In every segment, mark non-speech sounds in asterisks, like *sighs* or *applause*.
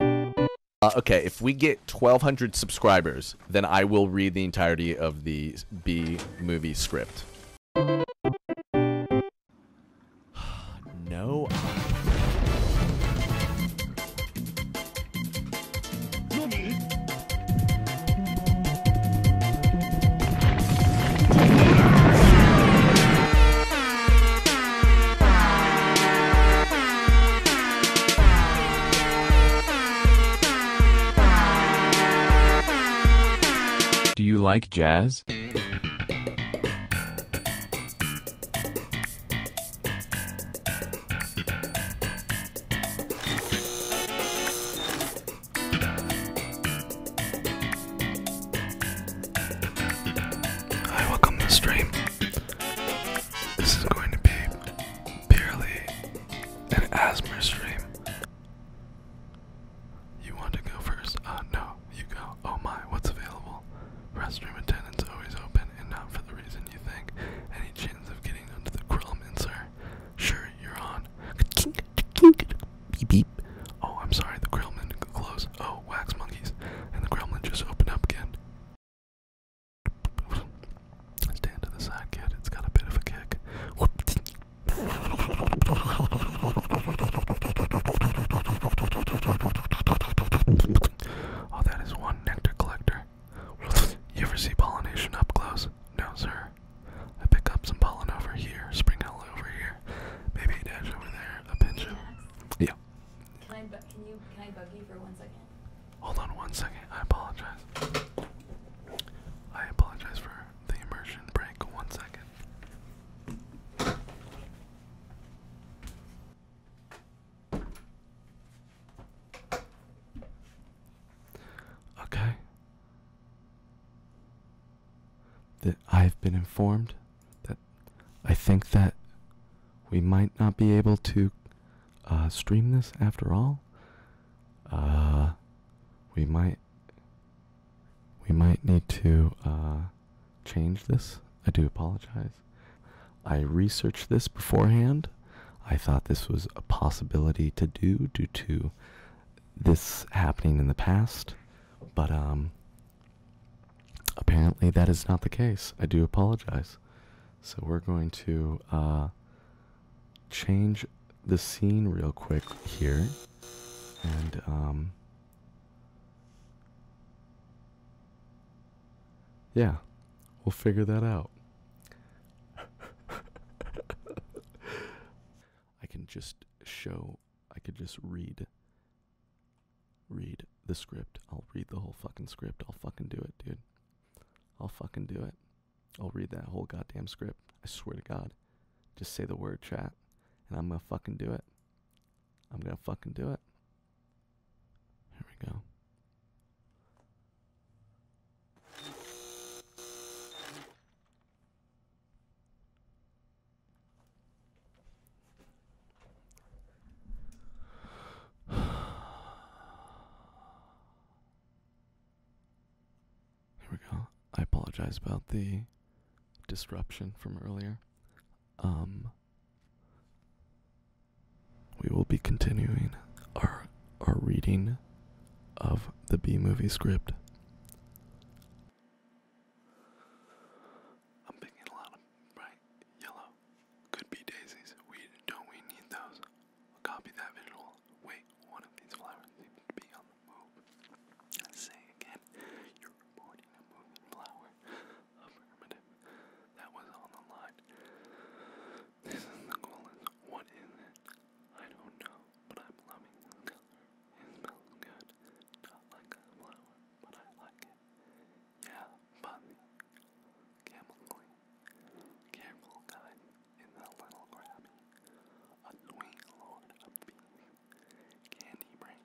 Uh, okay, if we get 1,200 subscribers, then I will read the entirety of the B movie script. *sighs* no. Do you like jazz? I welcome to the stream. This is going to be purely an asthma stream. You want to go first? Uh, no, you go. Oh my, what's available? Restroom attendants always open and not for the reason you think. Any chance of getting under the grill, Sure, you're on. Beep beep. Oh, I'm sorry, the grillman closed. Oh, wax monkeys. And the gremlin just opened up again. Stand to the side, kid. It's got a bit of a kick. Oh, that is one nectar collector. You ever see pollination up close? No, sir. I pick up some pollen over here, sprinkle over here, maybe a over there, a pinch over. Yeah. Can I, can you, can I bug you for one second? Hold on one second. I apologize. I apologize for the immersion break. One second. Okay. That I've been informed that I think that we might not be able to uh, stream this after all. Uh, we might we might need to uh, change this. I do apologize. I researched this beforehand. I thought this was a possibility to do due to this happening in the past, but um, Apparently, that is not the case. I do apologize. So, we're going to uh, change the scene real quick here. And, um, yeah, we'll figure that out. *laughs* I can just show, I could just read read the script. I'll read the whole fucking script. I'll fucking do it, dude. I'll fucking do it. I'll read that whole goddamn script. I swear to God. Just say the word chat and I'm gonna fucking do it. I'm gonna fucking do it. Here we go. *sighs* Here we go. I apologize about the disruption from earlier. Um we will be continuing our our reading of the B movie script. I'm picking a lot of bright yellow could be daisies. We don't we need those. Copy that visual. Wait, one of these flowers seems to be on the move. Say again, you're reporting a moving flower. Affirmative. That was on the line. This is the coolest. What is it? I don't know, but I'm loving this color. It smells good. Not like a flower, but I like it. Yeah, fuzzy. Gambling. Careful in the little grabby. Annoying lord of beef. Candy brain.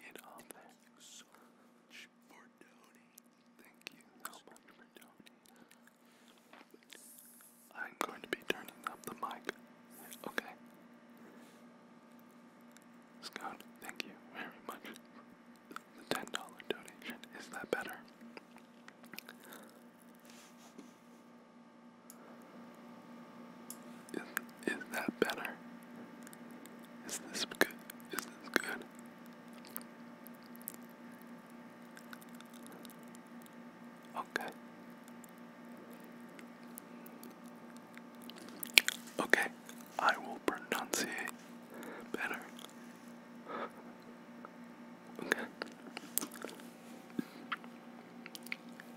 Get off there. So much for donating. Thank you so much for I'm going to be turning up the mic. Okay. Scott, thank you very much the $10 donation. Is that better? Is, is that better? Is this good? Is this good? Okay. Okay, I will pronunciate better. Okay.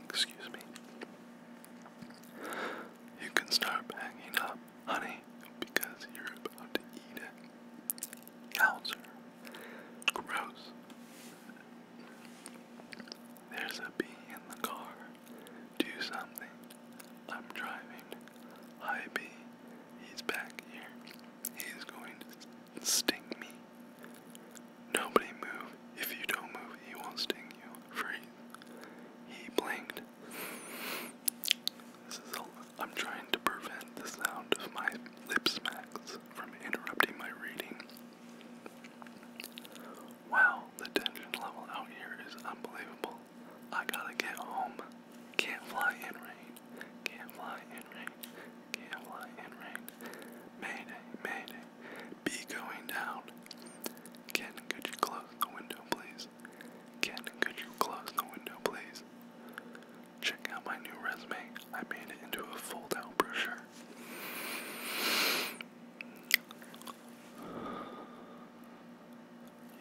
Excuse me. You can start packing up, honey, because you're about to eat it. Yowzer. Gross. There's a bee in the car. Do something. I'm driving. Hi B. He's back here. He's going to sting me. Nobody move. If you don't move, he will sting you. Freeze. He blinked. This is I'm trying to prevent the sound of my lip smacks from interrupting my reading. Wow, the tension level out here is unbelievable. I gotta get home. Can't fly in rain. Can't fly in rain. Can't fly in rain. Mayday, mayday. Be going down. Ken, could you close the window, please? Ken, could you close the window, please? Check out my new resume. I made it into a fold out brochure.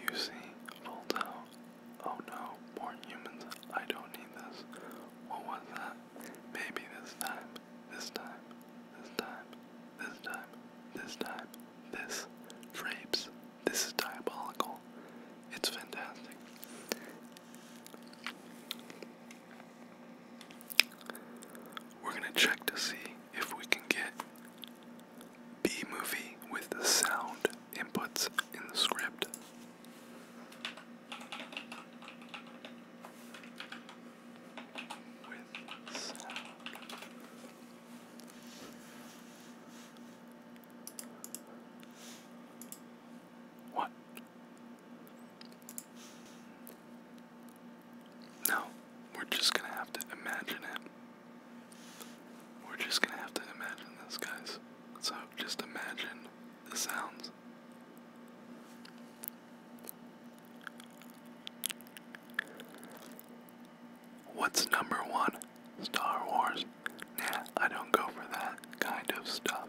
You see, folds Oh no, more humans. I don't need this. What was that? Maybe this time. This time. This time. This time. This time. This. Drapes. This is diabolical. It's fantastic. We're gonna check to see if we can get B movie with sound inputs in the script. With sound. What? No, we're just gonna have to imagine it. We're just gonna have to imagine this, guys. So just imagine the sounds. What's number one? Star Wars. Yeah, I don't go for that kind of stuff.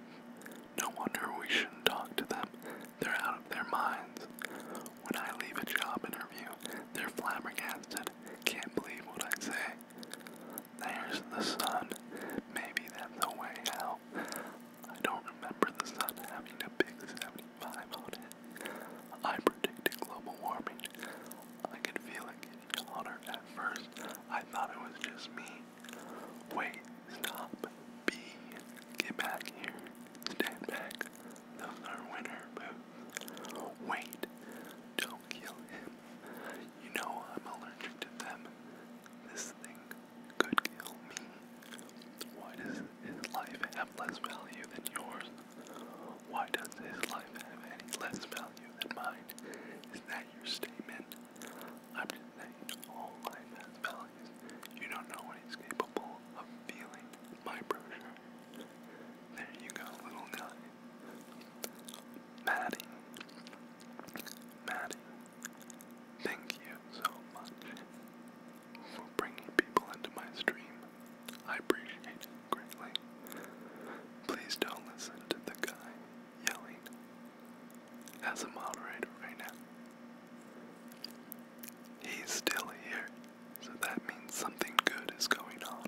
No wonder we shouldn't talk to them. They're out of their minds. When I leave a job interview, they're flabbergasted. Can't believe what I say. There's the sun. Maybe that's the way out. I don't remember the sun having a big 75 on it. I predicted global warming. I could feel it getting hotter at first. I thought it was just me. Wait, stop. B. Get back here. Stand back. Those are winter boots. Wait, don't kill him. You know I'm allergic to them. This thing could kill me. Why does his life have less value than yours? Why does his life have any less value than mine? Is that your statement? I'm just saying all life has value. You don't know what he's capable of feeling my brochure. There you go, little guy. Maddie. Maddie. Thank you so much for bringing people into my stream. I appreciate it greatly. Please don't listen to the guy yelling as a moderator right now. He's still here. So that means something good is going on.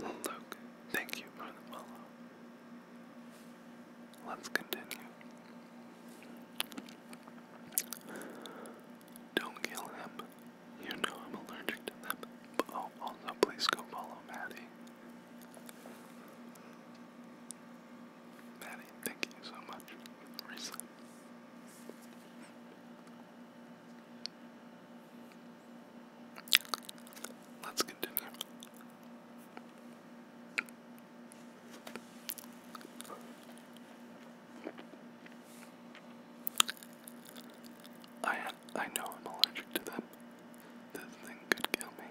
Luke, thank you for the follow. Let's continue. Don't kill him. You know I'm allergic to them. But oh, also please go follow Maddie. Maddie, thank you so much. Reset. Let's continue. I I know I'm allergic to them. This thing could kill me.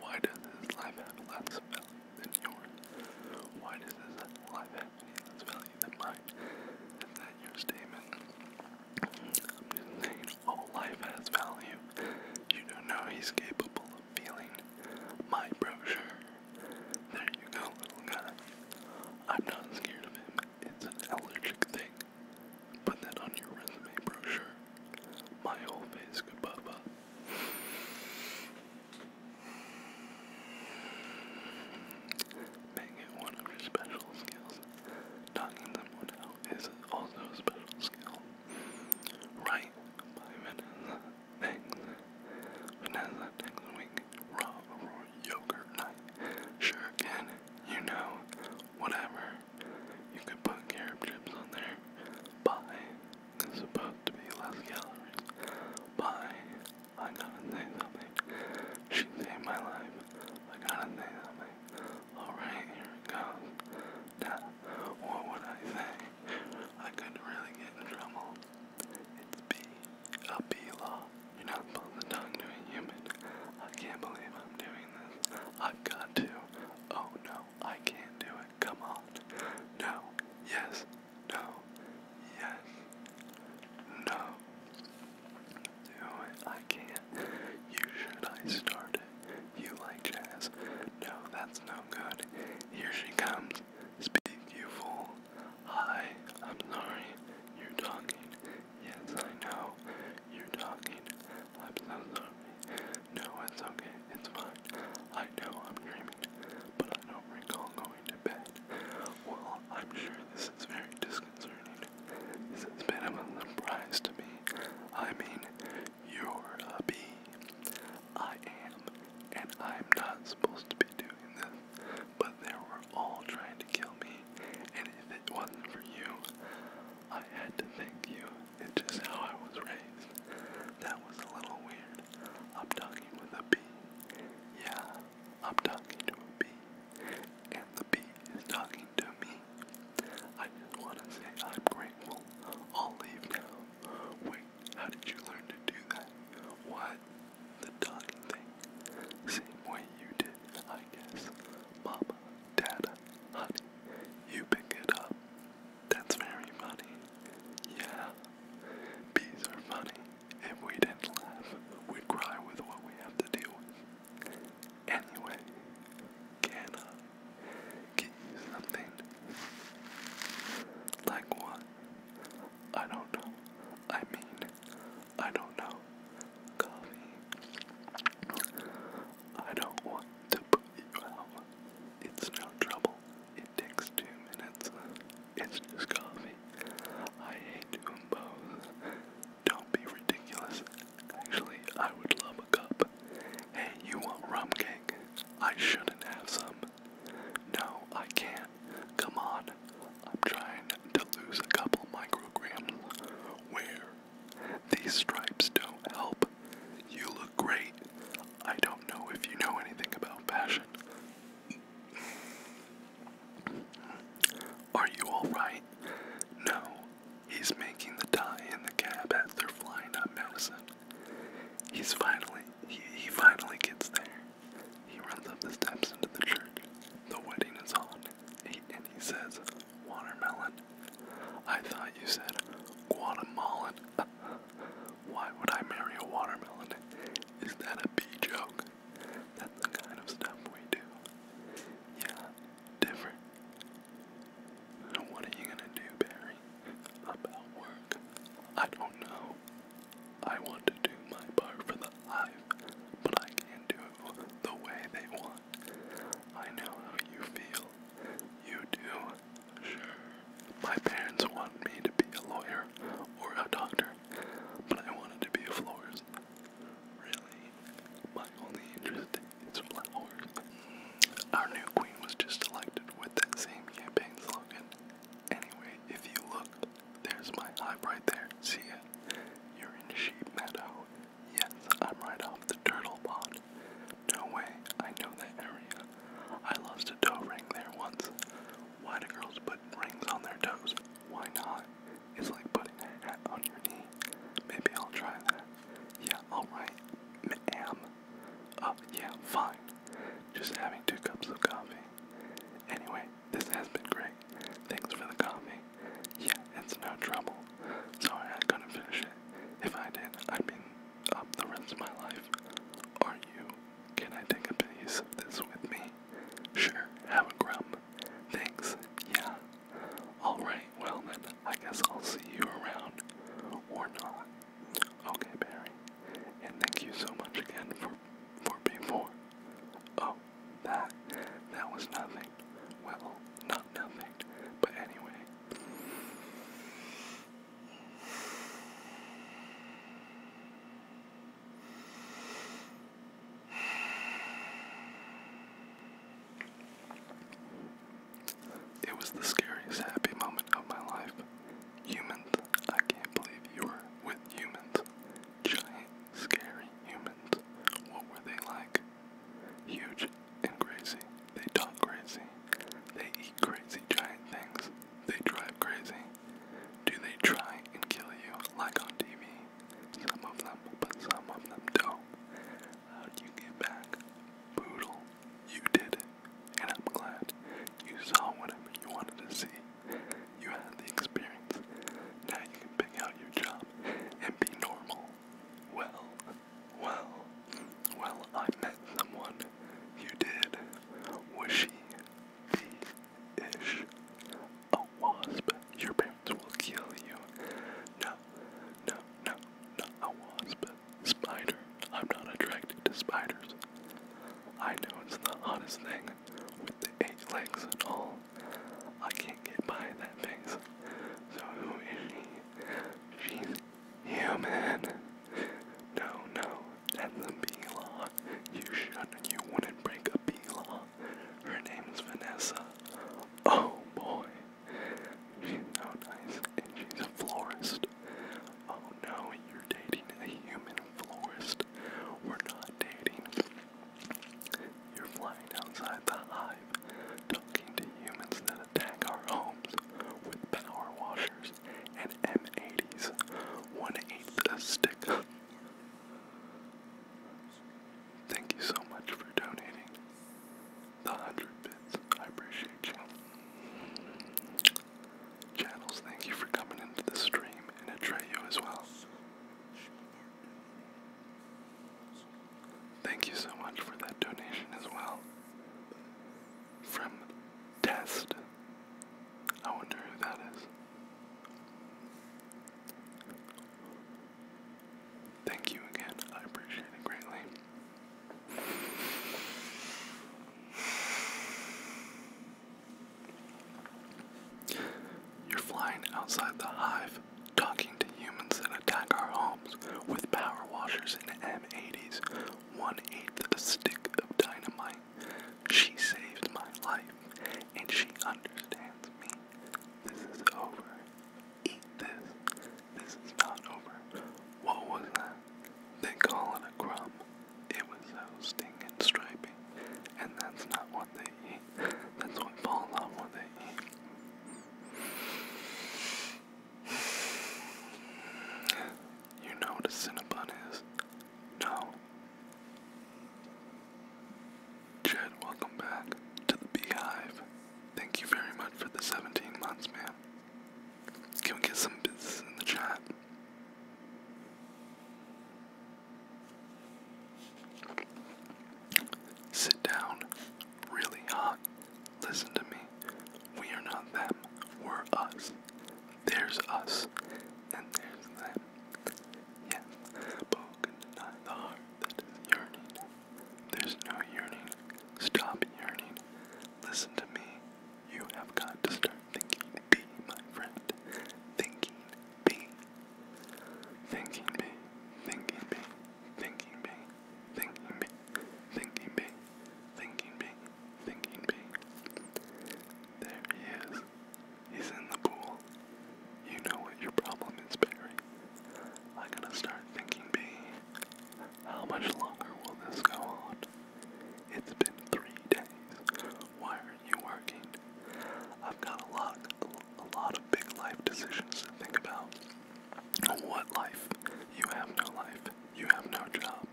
Why does this life have less value than yours? Why does this life has value than mine. Is that your statement? I'm just saying all life has value. You don't know he's capable of feeling my brochure. There you go, little guy. I'm not scared of him. It's an allergic thing. Put that on your resume brochure. My whole face could pop Make it one of your special skills. Knocking someone out is also a special skill. Right Vanessa Thanks. Vanessa takes a Raw for yogurt night. Sure can. You know. Whatever. You could put carrot chips on there. Pie. It's supposed to be less calories. Pie. I gotta say something. She saved my life. I gotta say something. Alright, here it goes. That, what would I say? I could really get in trouble. It's B, a B law. You're not supposed to talk to a human. I can't believe I'm doing this. I've got to. Oh no, I can't do it. Come on. No. Yes. No. Yes. No. No, I can't. You should I start it. You like jazz. No, that's no good. Here she comes. Speak, you fool. Hi, I'm sorry. You're talking. Yes, I know. You're talking. I'm so sorry. No, it's okay. It's fine. I know I'm dreaming, but I don't recall going going to bed. Well, I'm sure this is very disconcerting. This has been a surprise to me. I mean, you're a bee. I am, and I'm not supposed to be doing this, but they were all trying to kill me, and if it wasn't for you, I had to thank you. It's just how I was raised. That was a little weird. I'm talking with a bee. Yeah, I'm talking to a bee and the bee is talking to me. I just want to say I'm grateful. I'll leave now. Wait, how did you learn to do that? What? The talking thing? Same way you did, I guess. Mama, Dada, honey, you pick it up. That's very funny. Yeah, bees are funny. If we didn't laugh, we'd cry with what we have to deal with. Anyway, can I get something? Like what? I don't know. I mean, I don't know. Coffee. I don't want to put you out. It's no trouble. It takes two minutes. It's just coffee. I hate to both. Don't be ridiculous. Actually, I would love a cup. Hey, you want rum cake? I shouldn't have some. No, I can't. Come on. I'm trying to lose a couple micrograms. Where? These stripes don't help. You look great. I don't know if you know anything about fashion, are you alright? No. He's making the tie in the cab as they're flying up Madison. He's finally, he, he finally gets there. He runs up the steps into the church. The wedding is on. and he says, Watermelon. I thought you said Guatemalan. *laughs* Why would I marry a watermelon? Is that a bee joke? That's the kind of stuff we do. Yeah, different. what are you gonna do, Barry? About work? I don't know. I want to do my part for the live, but I can't do it the way they want. I know how you feel. You do? Sure. My parents want me to be a lawyer or a doctor, but I wanted to be a florist. Really, my only interest is flowers. Our new queen was just elected with that same campaign slogan. Anyway, if you look, there's my hive right there. See it? You're in Sheep Meadow. Yes, I'm right off the turtle pond. No way, I know that area. I lost a toe ring there once. Why do girls put rings on their toes? Why not? It's like putting a hat on your knee. Maybe I'll try that. Yeah, alright, ma'am. Uh, yeah, fine. Just having two cups of coffee. Anyway, this has been great. Thanks for the coffee. Yeah, it's no trouble. Sorry I couldn't finish it. If I did, I'd been up the rest of my life. Are you? Can I take a piece of this with me? Sure, have a grub. Thanks. Yeah. Alright, well then, I guess I'll see you around. Or not. Okay, Barry. And thank you so much again for for being before. Oh, that that was nothing. Well, not nothing. But anyway. It was the scariest happy moment of my life. Humans, I can't believe you were with humans. Giant, scary humans. What were they like? Huge and crazy. They talk crazy. They eat crazy giant things. They drive crazy. Do they try and kill you like on TV? Some of them, but some of them don't. How'd you get back? Poodle, you did and I'm glad. You saw whatever you wanted to see. You had the experience. Now you can pick out your job and be normal. Well, well, well, I met someone. You did. Was she the ish? a wasp, your parents will kill you. No, no, no, not a wasp. Spider. I'm not attracted to spiders. I know it's the hottest thing with the eight legs and all. I can't get by that face. So who is she? She's human. No, no, that's a bee law. You shouldn't, you wouldn't break a bee law. Her name is Vanessa. Oh boy. She's so nice and she's a florist. Oh no, you're dating a human florist. We're not dating. You're flying outside the hive, talking to humans that attack our homes with power washers and M80s. One eighth a stick. Thank you so much for donating the 100 bits. I appreciate you. Channels, thank you for coming into the stream and Atreyu as well. Thank you so much for that donation as well. From Test. I wonder who that is. Thank you again. I appreciate it greatly. You're flying outside the hive, talking to humans that attack our homes with power washers and M80s, one eighth stick of dynamite. She saved my life and she understands me. This is over. Eat this. This is not over. What was that? They call it a crumb. It was hosting and striping. And that's not what they eat. That's what falls on what they eat. You know what a Cinnabon is? No, Jed, welcome back to the Beehive. Thank you very much for the 17 months, man. Can we get some business in the chat? Sit down, really hot. Listen to me. We are not them. We're us. There's us, and there's them. Yes, Paul can the heart that is yearning. There's no yearning. Stop yearning. Listen to me. You have got to start thinking B, my friend. Thinking B. Thinking B. Thinking B. Thinking B. Thinking B. Thinking B. Thinking B. There he is. He's in the pool. You know what your problem is, Barry. I gotta start thinking, B. How much longer will this go on? It's been three days. Why aren't you working? I've got a lot, a lot of big life decisions to think about. What life? You have no life. You have no job.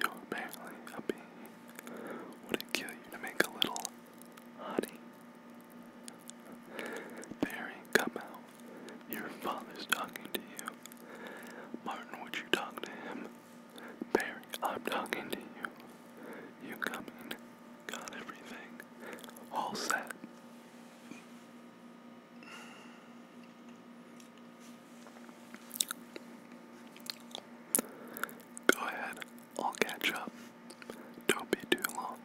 You're apparently a Would it kill you to make a little honey? Barry, come out. Your father's talking to you. Martin, would you talk to him? Barry, I'm talking to you. You come Got everything. All set. Go ahead. I'll catch up. Don't be too long.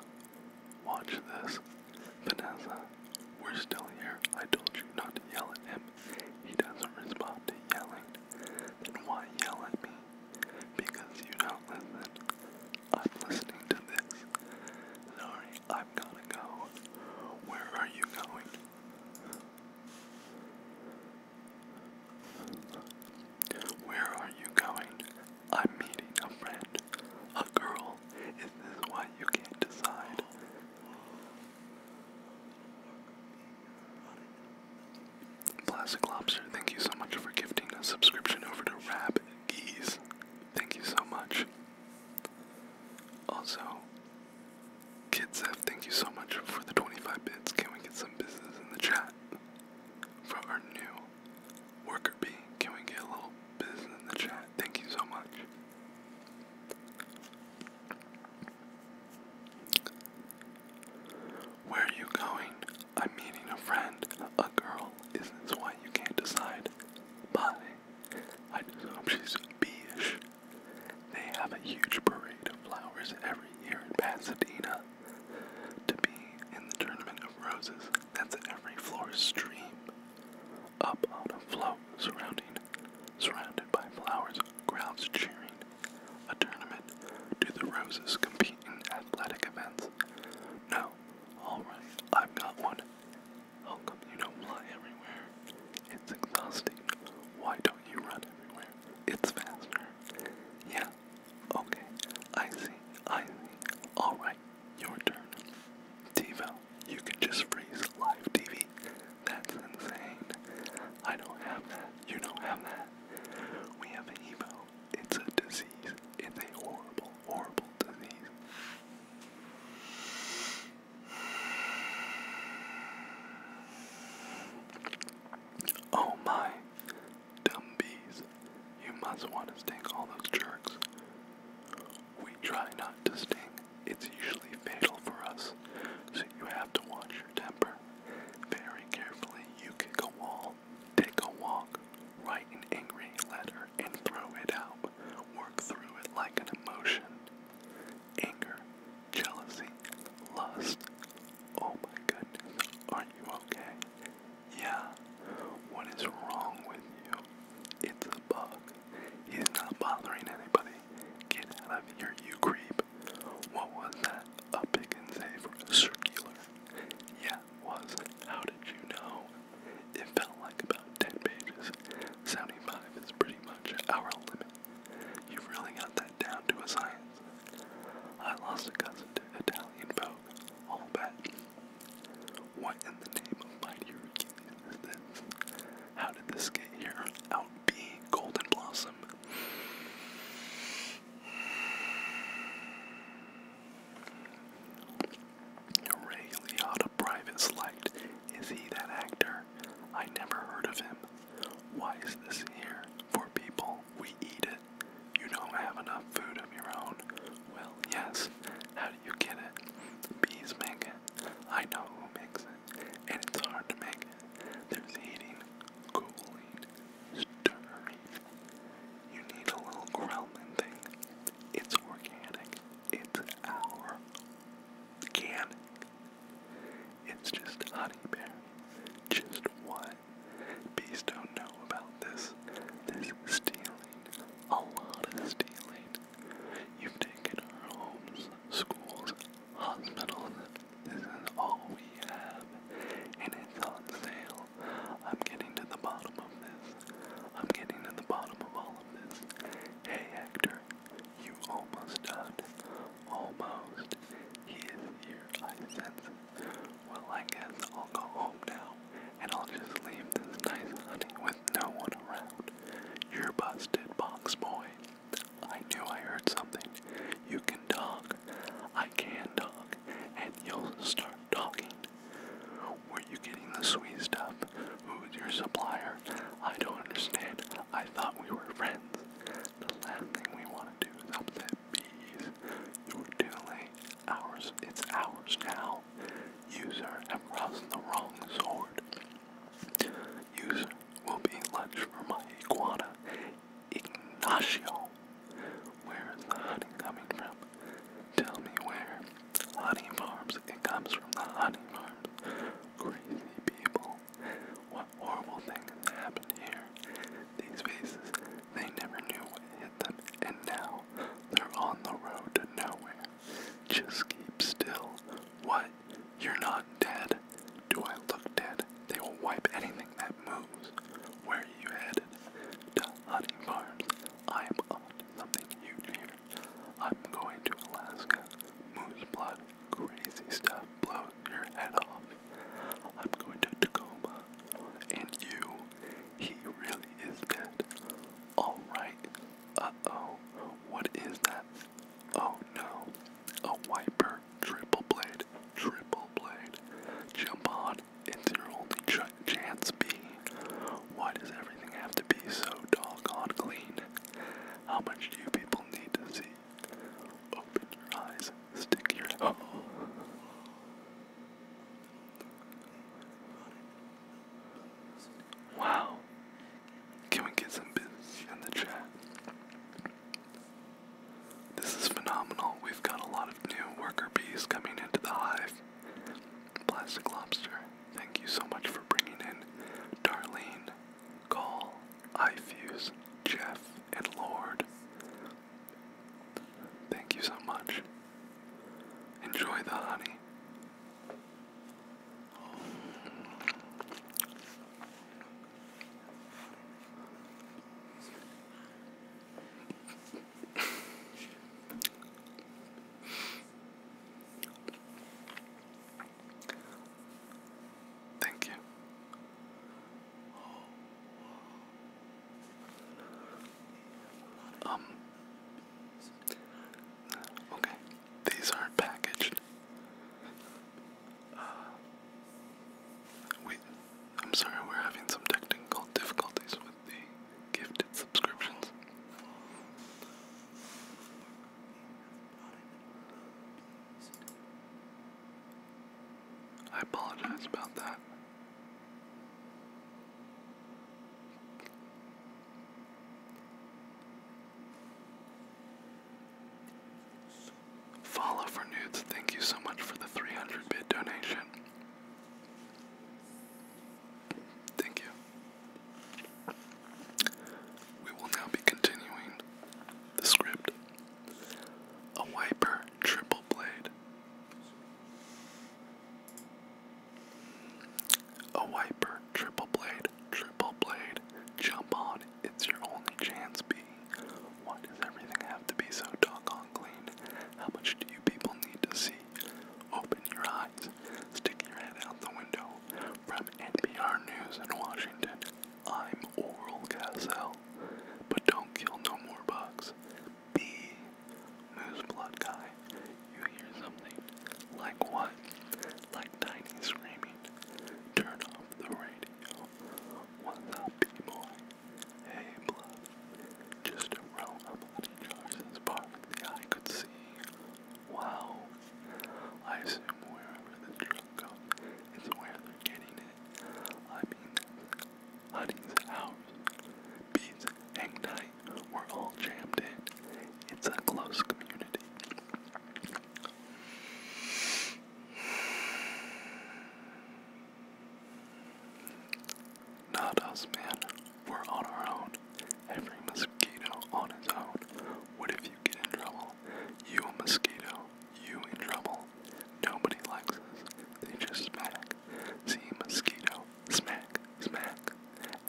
Watch this. Vanessa, we're still here. I told you not to yell at him. He doesn't respond to yelling. Then why yell at me? Because you don't listen. I'm listening to this. Sorry, I'm gonna go. Where are you going? Where are you going? I'm meeting a friend. A girl. Is this why you can't decide? Plastic Lobster, thank you so much for gifting a subscription over to Rab Geese. Thank you so much. Also, Kidsef, thank you so much for the 25 bits. Can we get some business in the chat? for our new worker bee. Can we get a little business in the chat? Thank you so much. Where are you going? I'm meeting a friend, a girl. Is this why you can't decide? Bye. I just hope she's bee-ish. They have a huge parade of flowers every year in Pasadena. To be in the Tournament of Roses, that's every floor stream. Up on a float surrounding, surrounded by flowers, crowds cheering. A tournament. Do the roses compete in athletic events? No. Alright, I've got one. How come you don't fly everywhere? It's exhausting. Why don't you run everywhere? It's faster. Yeah, Okay, I see, I see. Alright, your turn. Devo, you can just freeze live TV. That's insane. I don't have that. You don't have that. We have Evo. It's a disease. It's a horrible, horrible disease. Oh my. Dumbies. You must want to sting all those jerks. We try not to sting. It's usually fatal for us, so you have to watch your temper. Very carefully, you kick a wall, take a walk, write an angry letter, and throw it out. Work through it like an emotion. Anger, jealousy, lust. Oh my goodness, are you okay? Yeah, what is wrong with you? It's a bug. He's not bothering anybody. Get out of here, you creep. What was that? A pick and save or a circular? Yeah, was. How did you know? It felt like about 10 pages. 75 is pretty much our limit. You've really got that down to a science. I lost a cousin to Italian boat All bet. What in the name of my Hercules How did this get here? Out being Golden Blossom. Ray Liotta Private Slight. Is he that actor? I never heard of him. Why is this here? For people we eat it. You don't have enough food of your own. Well, yes. How do you get it? Bees make it. I know who makes it. And it's hard to make it. There's heating, cooling, stirring. You need a little growling thing. It's organic. It's our organic. It's just honey berry. Just one Bees don't know about this. This stealing, a lot of stealing. You've taken our homes, schools, hospitals. This is all we have, and it's on sale. I'm getting to the bottom of this. I'm getting to the bottom of all of this. Hey, Hector, you almost died. Almost. He is here. I sense well, I guess I'll go home now, and I'll just leave this nice honey with no one around. You're busted, box boy. I knew I heard something. You can talk. I can talk, and you'll start talking. Were you getting the sweet stuff? Who's your supplier? I don't understand. I thought we were friends. The last thing we want to do is upset bees. You're doing ours. It's ours now. User have crossed the wrong sword. User will be lunch for my iguana, Ignacio. Where is the honey coming from? Tell me where. Honey farms. It comes from the honey farms. Crazy people. What horrible thing happened here? These faces, they never knew what and now they're on the road to nowhere. Just keep still. What? You're not dead. Do I look dead? They will wipe anything that moves. Where are you headed? To hunting farms. I am on something huge here. I'm going to Alaska. Moose blood, crazy stuff blows your head off. I'm going to Tacoma. And you he really is dead. Alright. Uh oh. What is that? Oh no. A wiper. Triple blade. Triple blade. Jump on. It's your only chance, B. Why does everything have to be so doggone clean? How much do you people need to see? Open your eyes. Stick your. *laughs* Oh. Wow. Can we get some bits in the chat? This is phenomenal. We've got a lot of new worker bees coming into the hive. Plastic Lobster, thank you so much for bringing in Darlene, Call, iFuse, Jeff, and Lord. Thank you so much. Enjoy the honey. Thank you. Um. Okay, these aren't packaged. Uh, I'm sorry, we're having some technical difficulties with the gifted subscriptions. I apologize about that. Follow for nudes, thank you so much for the 300 bit donation. Thank you. We will now be continuing the script. A wiper triple blade a wiper, triple blade, triple blade, jump on, it's your only chance, B. Why does everything have to be so doggone clean? How much do you people need to see? Open your eyes, stick your head out the window. From NPR News in Washington, I'm Oral Castle. But don't kill no more bugs the moose blood guy, you hear something. Like what? Like Tiny screaming. Turn off the radio. What's up, people? Hey, blood. Just a row of bloody jars as far as the eye could see. Wow. I assume wherever the drug goes is where they're getting it. I mean, Honey's house. Bees hang tight. We're all jammed in. It's a close community. Not us, man. We're on our own. Every mosquito on his own. What if you get in trouble? You a mosquito. You in trouble. Nobody likes us. They just smack. See mosquito, smack, smack.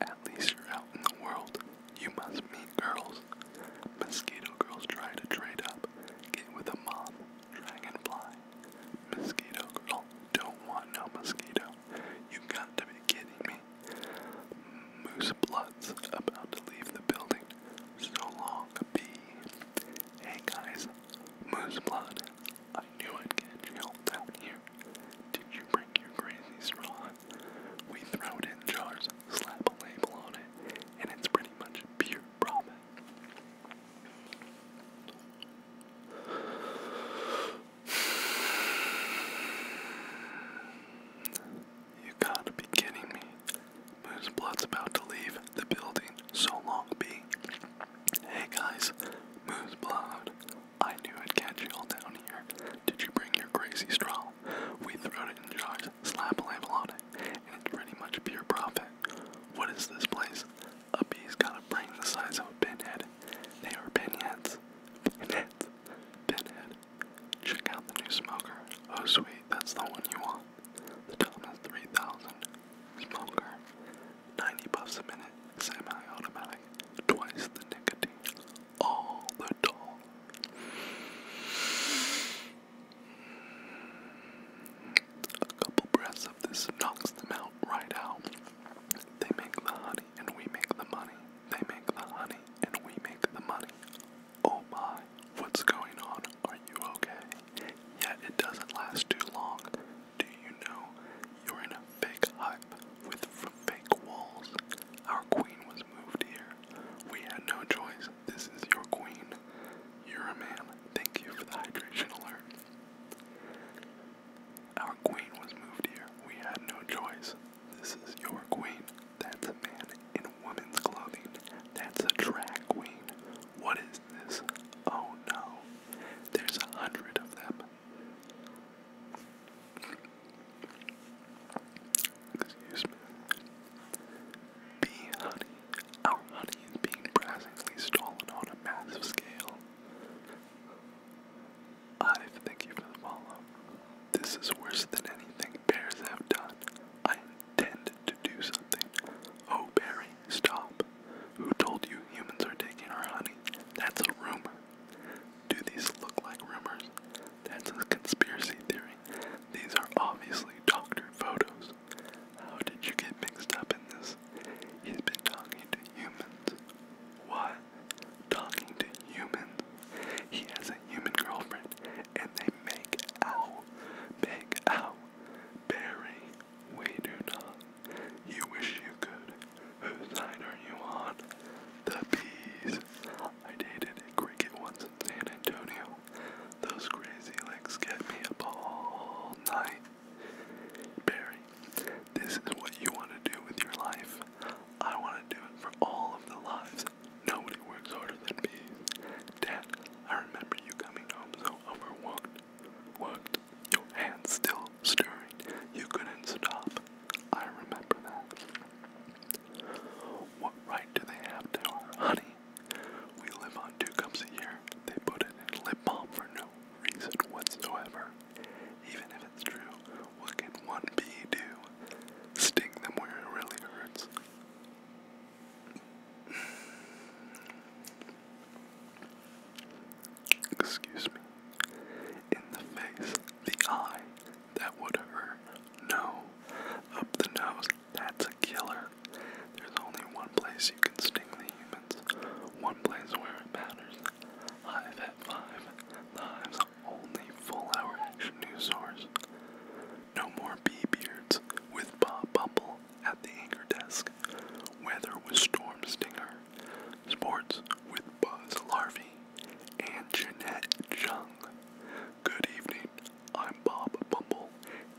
At least you're out in the world. You must meet girls. Mosquito girls try to trade up. Get with a mom, dragonfly. Mosquito girl, don't want no mosquito. You got to be kidding me. Moose bloods about to leave the building. So long, bee. Hey guys, moose blood I knew I'd get you help here. Did you bring your crazy straw? We throw it in jars, slap a label on it, and it's pretty much pure profit. You gotta be kidding me. Moose Blood's about to leave the building. So long, B. Hey guys, Moose Blowed. I knew I'd catch you all down here. Did you bring your crazy straw? We throw it in jars, slap a label on it, and it's pretty much pure profit. What is this place? A bee's got a brain the size of a pinhead. They are pinheads. Pinheads. Pinhead. Check out the new smoker. Oh sweet, that's the one you want. The Thomas 3000 smoker. 90 puffs a minute, semi-automatic, twice the nicotine, all the toll. A couple breaths of this knocks them out right out. They make the honey and we make the money. They make the honey and we make the money. Oh my, what's going on? Are you okay? Yet it doesn't last too long. Do you know you're in a fake hut with fake walls? Our queen was moved here. We had no choice. This is your queen. You're a man. Thank you for the hydration alert. Our queen was moved here. We had no choice. This is your queen. That's a man in woman's clothing. That's a drag queen. What is Oh no, there's a hundred of them. Excuse me. Bee honey. Our honey is being brazenly stolen on a massive scale. I thank you for the follow. This is worse than anything bears have done. I intended to do something. Oh, Barry, stop. Who told you humans are taking our honey? That's a rumor. Do these look like rumors? That's a conspiracy theory. These are obviously doctored photos. How did you get mixed up in this? He's been talking to humans. What? Talking to humans? He has a human girlfriend and they make out. Make out. Barry. We do not. You wish you could. Whose side are you on? The bees. I dated a cricket once in San Antonio. Those crazy legs get me up all night. Barry, this is what you want to do with your life. I want to do it for all of the lives. Nobody works harder than bees. Dad, I remember you coming home so overwhelmed worked, your hands still stirring. You couldn't stop. I remember that. What right do they have to our honey? We live on two cups a year. They put it in lip balm for no reason whatsoever. Even if it's true, what can one bee do? Sting them where it really hurts excuse me, in the face, the eye, that would hurt, no, up the nose, that's a killer. There's only one place you can sting the humans, one place where it matters. I've had five, the hive's only full hour action news source. No more bee beards with Bob Bumble at the anchor desk, weather with Storm Stinger, sports with Buzz Larvey, and Jeanette Chung. Good evening, I'm Bob Bumble,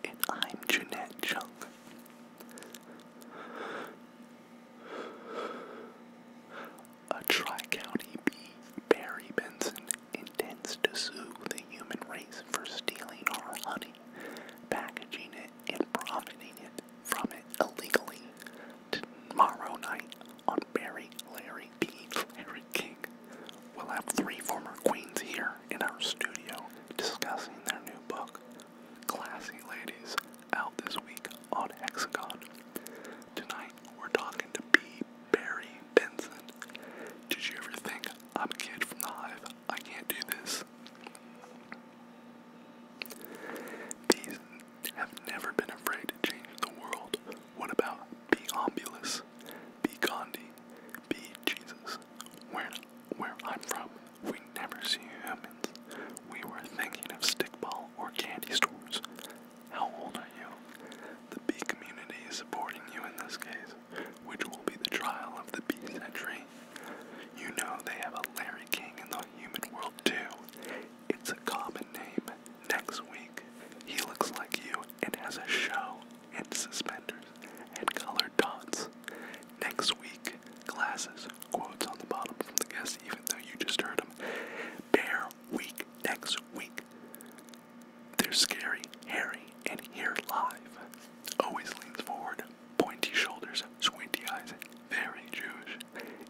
and I'm Jeanette Chung. A Tri County bee, Barry Benson, intends to sue the human race for stealing our honey, packaging it, and profiting it from it illegally tomorrow night on Barry Larry B. Harry King. We'll have three former queens here in our studio discussing their new book, Classy Ladies, out this week on Hexagon. Tonight we're talking to B. Barry Benson. Did you ever think I'm a kid from the hive? I can't do this. These have never been afraid to change the world. What about be Ombulus, be Gandhi, be Jesus? Where, where I'm from, we never see humans. We were thinking of stickball or candy stores. How old are you? The bee community is supporting you in this case, which will be the trial of the bee century you know they have a Larry King in the human world too. It's a common name. Next week, he looks like you and has a show and suspenders and colored dots. Next week, glasses, quotes on the bottom from the guest, even though you just heard them. Bear week next week. They're scary, hairy, and here live. Always leans forward, pointy shoulders, squinty eyes, very Jewish.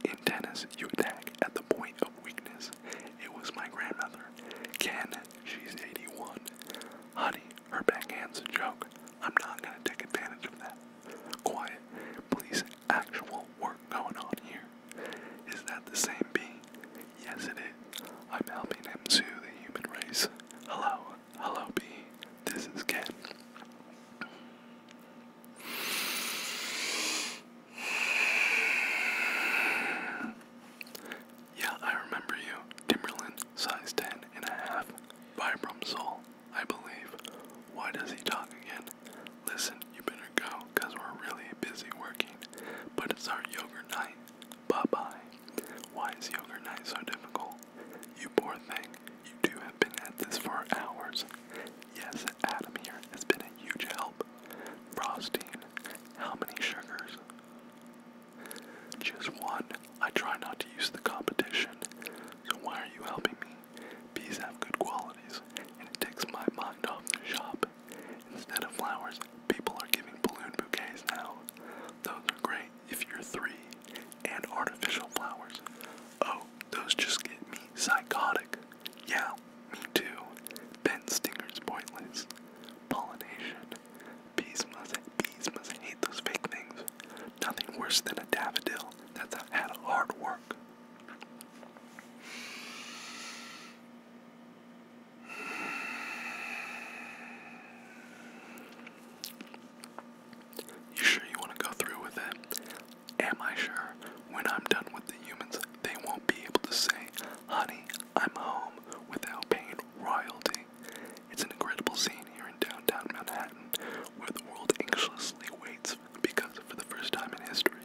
In tennis, you attack at the point of weakness. It was my grandmother. Can she's 81. Honey, her backhand's a joke. I'm not gonna take advantage of that. Quiet, please, actual work going on here. Is that the same bee? Yes, it is. I'm helping him sue the human race. Hello, Hello, B. This is Ken. Yeah, I remember you. Timberland, size 10 Vibram Soul, I believe. Why does he talk again? Listen, you better go, cause we're really busy working. But it's our yogurt night. Bye bye. Why is yogurt night so difficult? You poor thing. You do have been at this for hours. Yes, Adam here has been a huge help. Frostine, how many sugars? Just one. I try not to use the competition. So why are you helping me? Bees have good qualities, and it takes my mind off the shop. Instead of flowers, people are giving balloon bouquets now. Those are great if you're three and artificial flowers. Oh, those just get me psychotic. Yeah, me too. Ben pointless. Pollination. Bees must, bees must hate those fake things. Nothing worse than a daffodil that's had hard work. You sure you want to go through with it? Am I sure when I'm done with the humans, they won't be able to say, honey, I'm home without paying royalty? It's an incredible scene here in downtown Manhattan where the world anxiously waits because for the first time in history,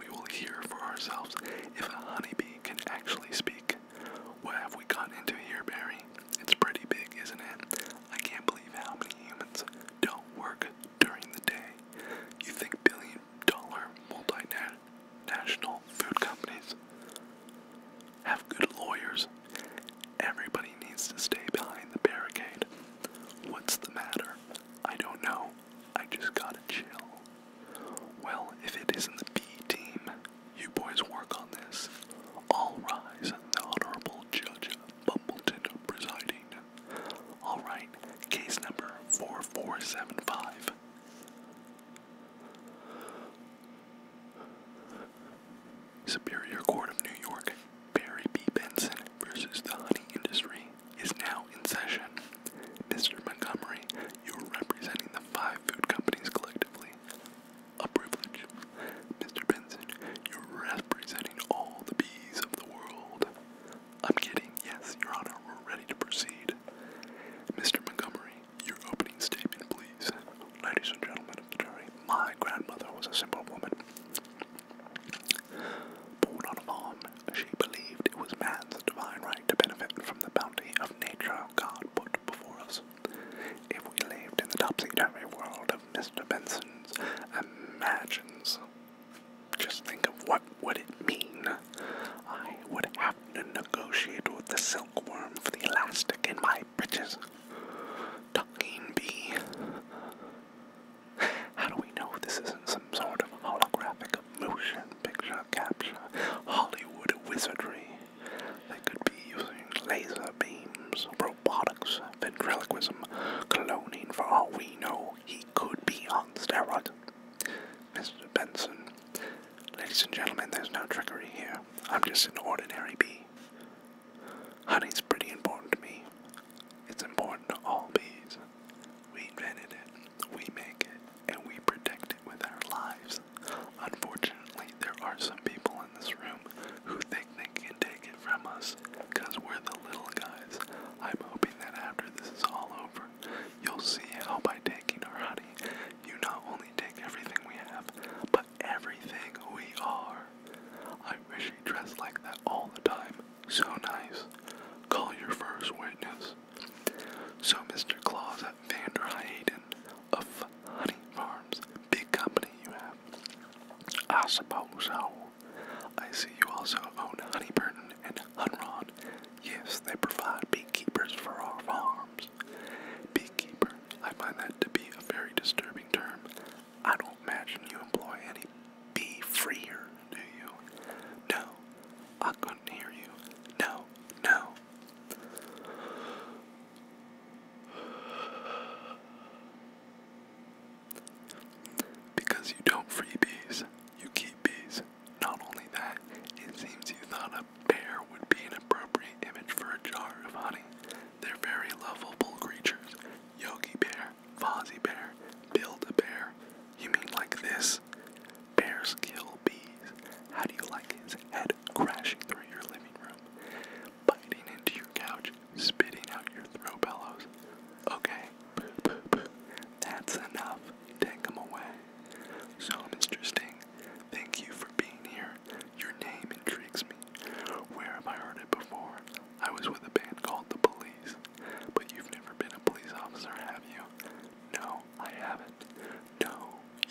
we will hear for ourselves if a honeybee can actually speak. What have we gotten into here, Barry? It's pretty big, isn't it? I can't believe how many humans don't work during the day. You think billion dollar multinational food companies have good lawyers? Everybody needs to stay behind the barricade. What's the matter? I don't know. I just gotta chill. Well, if it isn't the B team, you boys work on this. I'll rise, the Honorable Judge Bumbleton presiding. Alright, case number 4475. Superior Court of New York, Barry B. Benson versus the honey industry is now in session. Mr. Montgomery, you are representing the five food companies collectively. A privilege. Mr. Benson, you're representing all the bees of the world. I'm kidding, yes, Your Honor, we're ready to proceed. Mr. Montgomery, your opening statement, please. Ladies and gentlemen of the jury, my grandmother was a simple woman. Born on a farm, she believed it was man's divine right to benefit from the bounty of nature God put before us. If we lived in the topsy-turvy world Mr. Benson imagines. Just think of what would it mean. I would have to negotiate with the silkworm for the elastic in my britches. Talking bee. How do we know this isn't some sort of holographic motion picture capture? Hollywood wizardry. They could be using laser beams, robotics, ventriloquism, cloning for all we know, he could be on steroids. Mr. Benson, ladies and gentlemen, there's no trickery here. I'm just an ordinary bee. Honey's pretty important to me. It's important to all bees. We invented it, we make it, and we protect it with our lives. Unfortunately, there are some people in this room who think they can take it from us, because we're the little guys. I'm hoping that after this is all over, you'll see how by taking our honey, you not only take everything we have, but everything we are. I wish he dressed like that all the time. So nice. Call your first witness. So Mr. Claus at Vander Hayden of Honey Farms, big company you have. I suppose so. I see you also own Honeyburn and Hunron. Yes, they provide beekeepers for our farms. Beekeeper, I find that to be a very disturbing term. I don't imagine you employ any bee freer, do you? No, I couldn't hear you. No, no. Because you don't free bees, you keep bees. Not only that, it seems you thought a bear would be an appropriate image for a jar of honey. They're very lovable creatures. Yogi Bear, Fozzie Bear, Build a Bear. You mean like this? Bears kill bees. How do you like his head crashing through your living room? biting into your couch, spitting out your throw pillows. Okay, that's enough. Take them away. So, Mr. Sting, thank you for being here. Your name intrigues me. Where have I heard it before? I was with a band called The Police. But you've never been a police officer, have you? No, I haven't. No,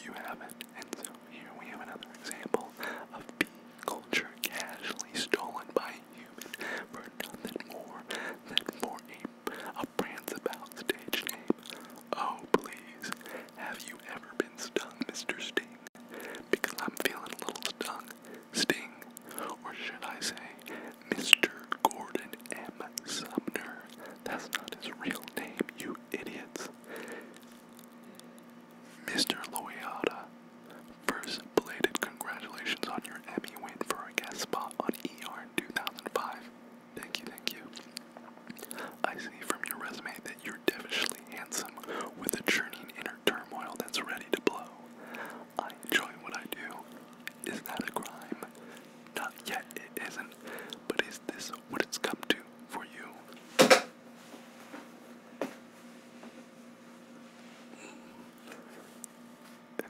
you haven't. And so here we have another example of being culture casually stolen by and for nothing more than for a, a prance about stage name. Oh, please, have you ever been stung, Mr. Sting? Because I'm feeling a little stung. Sting, or should I say, Mr. Gordon M. Sumner. That's not his real name, you idiots. Mr. Loyada, first belated congratulations on your Emmy win for a guest spot on ER in 2005. Thank you, thank you. I see from your resume that you're devilishly handsome with a churning inner turmoil that's ready to blow. I enjoy what I do. Is that a crime? Not yet, it isn't. But is this what it's come to for you?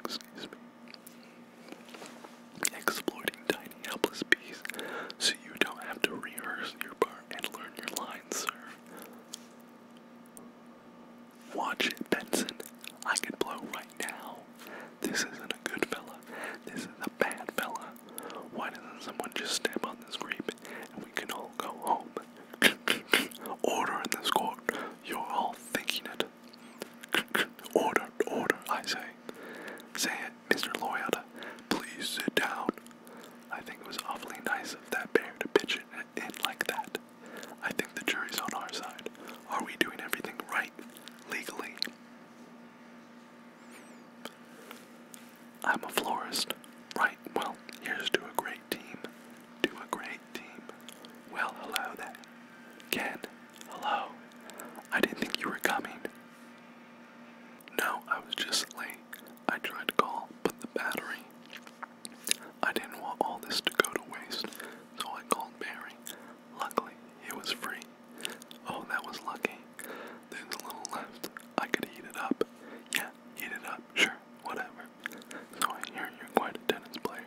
Excuse me. Exploiting tiny helpless bees so you don't have to rehearse your part and learn your lines, sir. Watch it, Benson. I could blow right now. This isn't a good fella. This is a bad fella. Why doesn't someone just step on this grape and we can all go home? *laughs* Order in this court. You're all thinking it. *laughs* Order, order, I say. Say it, Mr. Loyota. Please sit down. I think it was awfully nice of that bear to pitch it in like that. I think the jury's on our side. Are we doing everything right, legally? I'm a florist. Right, well, here's to a great team, to a great well, hello there. Ken, hello. I didn't think you were coming. No, I was just late. I tried to call, but the battery. I didn't want all this to go to waste, so I called Barry. Luckily, it was free. Oh, that was lucky. There's a little left. I could heat it up. Yeah, heat it up. Sure, whatever. Though I hear you're quite a tennis player,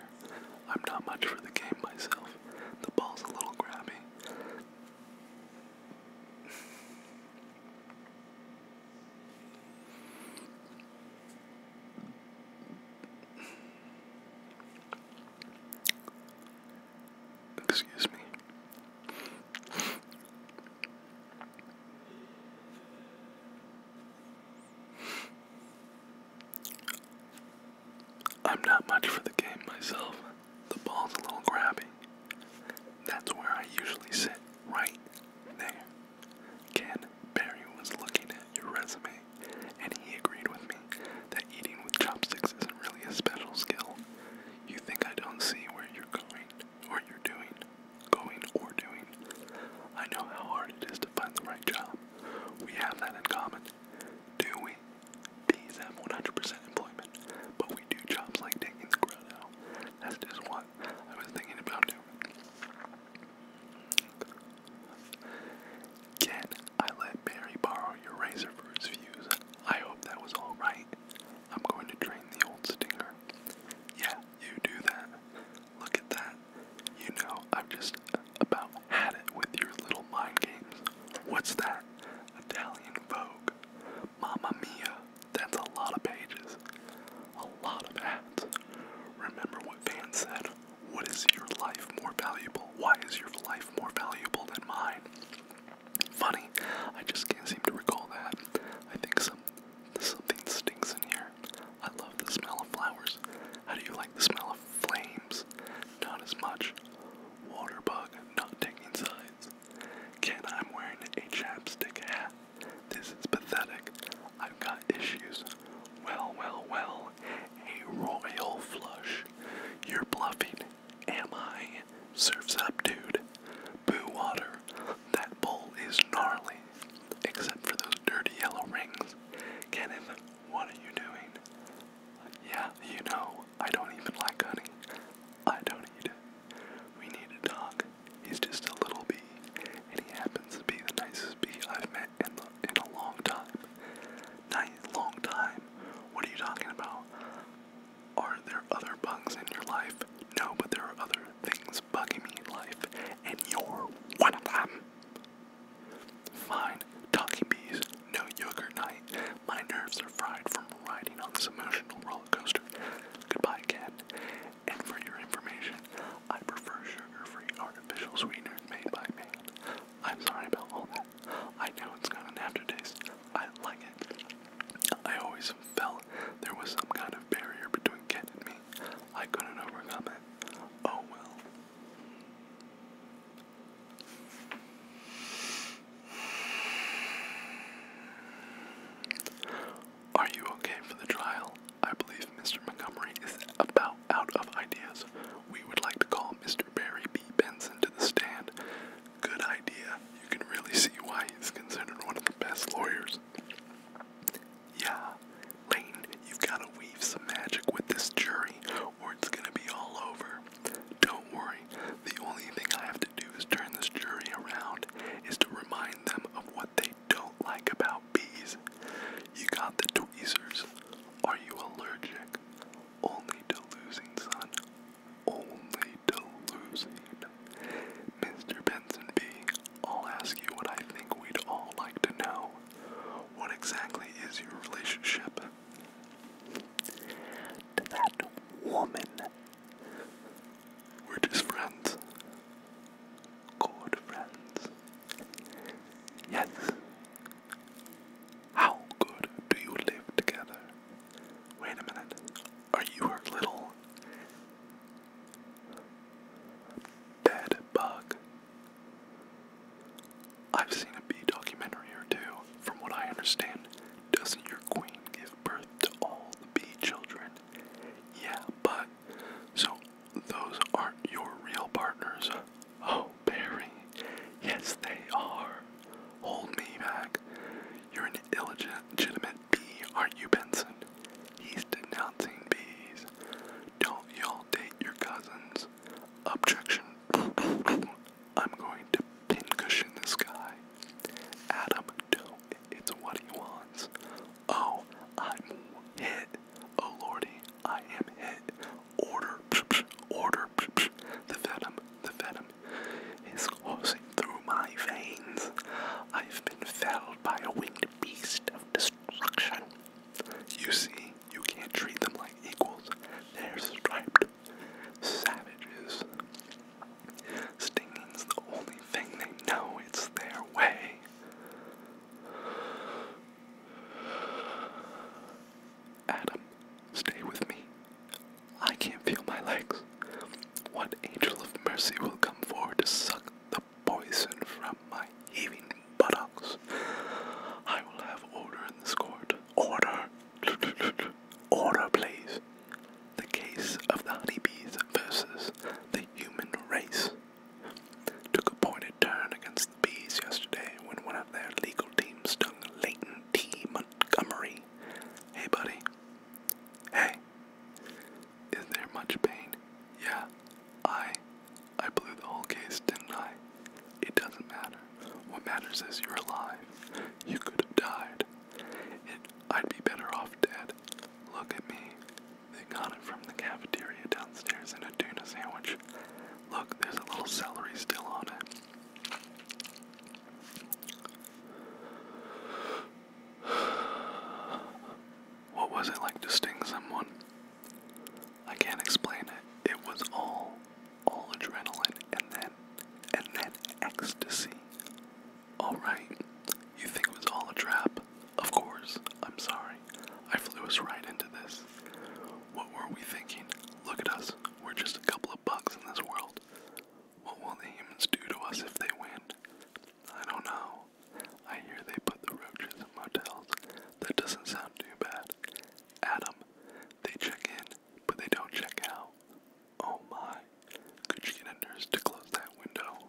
I'm not much for the game myself. The ball's a little grabby. Excuse me. I'm not much for the game myself. The ball's a little grabby. That's where I usually sit, right there. Ken Barry was looking at your resume, and he agreed with me that eating with chopsticks isn't really a special skill. You think I don't see where you're going? or you're doing, going, or doing. I know how hard it is to find the right job. We have that in common. Do we? Bees have 100% employment, but we do jobs like taking the crowd out. That's just what I was thinking about doing. Can I let Barry borrow your razor for his views? I hope that was alright. I'm going to drain the old stinger. Yeah, you do that. Look at that. You know, I've just about had it with your little mind games. What's that? Italian Vogue. Mamma mia. That's a lot of pages. A lot of ads. Remember what Van said. What is your life more valuable? Why is your life more valuable than mine? Funny, I just can't seem to recall that. I think some Something stinks in here. I love the smell of flowers. How do you like the smell of flames? Not as much. Water bug, not taking sides. Ken, I'm wearing a chapstick hat. This is pathetic. I've got issues. Well, well, well. A royal flush. You're bluffing. Am I? Surf's up, dude. Boo water. That bowl is gnarly except for those dirty yellow rings. Kenneth, what are you doing? Yeah, you know, I don't even like honey. I don't eat it. We need a dog. He's just a little bee, and he happens to be the nicest bee I've met in, the, in a long time. Nice, long time? What are you talking about? Are there other bugs in your life? No, but there are other things bugging me in life, and you're one of them. Fine, talking bees, no yogurt night. My nerves are fried from riding on this emotional roller coaster. Goodbye, Ken. And for your information, I prefer sugar-free artificial sweeteners made by man. I'm sorry about all that. I know it's got an aftertaste. I like it. I always felt there was some kind of barrier between Ken and me. I couldn't overcome it. Oh well. Are you okay for the trial? I believe Mr. Montgomery is about out of ideas. We would like to call Mr. Barry B. Benson to the stand. Good idea. You can really see why he's considered one of the best lawyers. Yeah, Lane, you've got to weave some magic with this jury, or it's going to be all over. Don't worry, the only thing I have to do is turn this jury around, is to remind them of what they don't like about bees. You got the tweezers. Are you allergic? Only to losing, son. Only to losing. Mr. Benson Bee, I'll ask you what I think we'd all like to know. What exactly is your relationship to that woman? We're just friends. Good friends. Yes. How good do you live together? Wait a minute. Are you her little Bed bug. I've seen a bee documentary or two. From what I understand, doesn't your queen give birth to all the bee children? Yeah, but so those aren't your real partners. Oh, Barry. Yes, they are. Hold me back. You're an illegitimate bee, aren't you, Benson? He's denouncing bees. Don't y'all date your cousins. Objection. I'm going to pincushion this guy. Adam, It's what he wants. Oh, I'm hit. Oh lordy, I am hit. Order, order, the venom, the venom is coursing through my veins. I've been felled by a winged beast of destruction. You see, you can't treat them like equals. They're striped savages. Stinging's the only thing they know, it's their way. Adam, stay with me. I can't feel my legs. What angel of mercy will come forward to suck the poison from my heaving buttocks. I will have order in this court. Order. *laughs* order, please. The case of the honeybees versus the human race took a pointed turn against the bees yesterday when one of their legal team stung Leighton T. Montgomery. Hey, buddy. Hey. Is there much pain? Yeah, I I blew the whole case, didn't I? It doesn't matter. What matters is you're alive. You could have died. It, I'd be better off dead. Look at me. They got it from the cafeteria downstairs in a tuna sandwich. Look, there's a little celery still on it. What was it like to sting someone? I can't explain it. It was all all adrenaline and then and then ecstasy. Alright. You think it was all a trap? Of course. I'm sorry. I flew us right into this. What were we thinking? Look at us. We're just a couple of bugs in this world. What will the humans do to us if they win? I don't know. I hear they put the roaches in motels. That doesn't sound too bad. Adam, they check in, but they don't check out. Oh my. Could you get a nurse to close that window?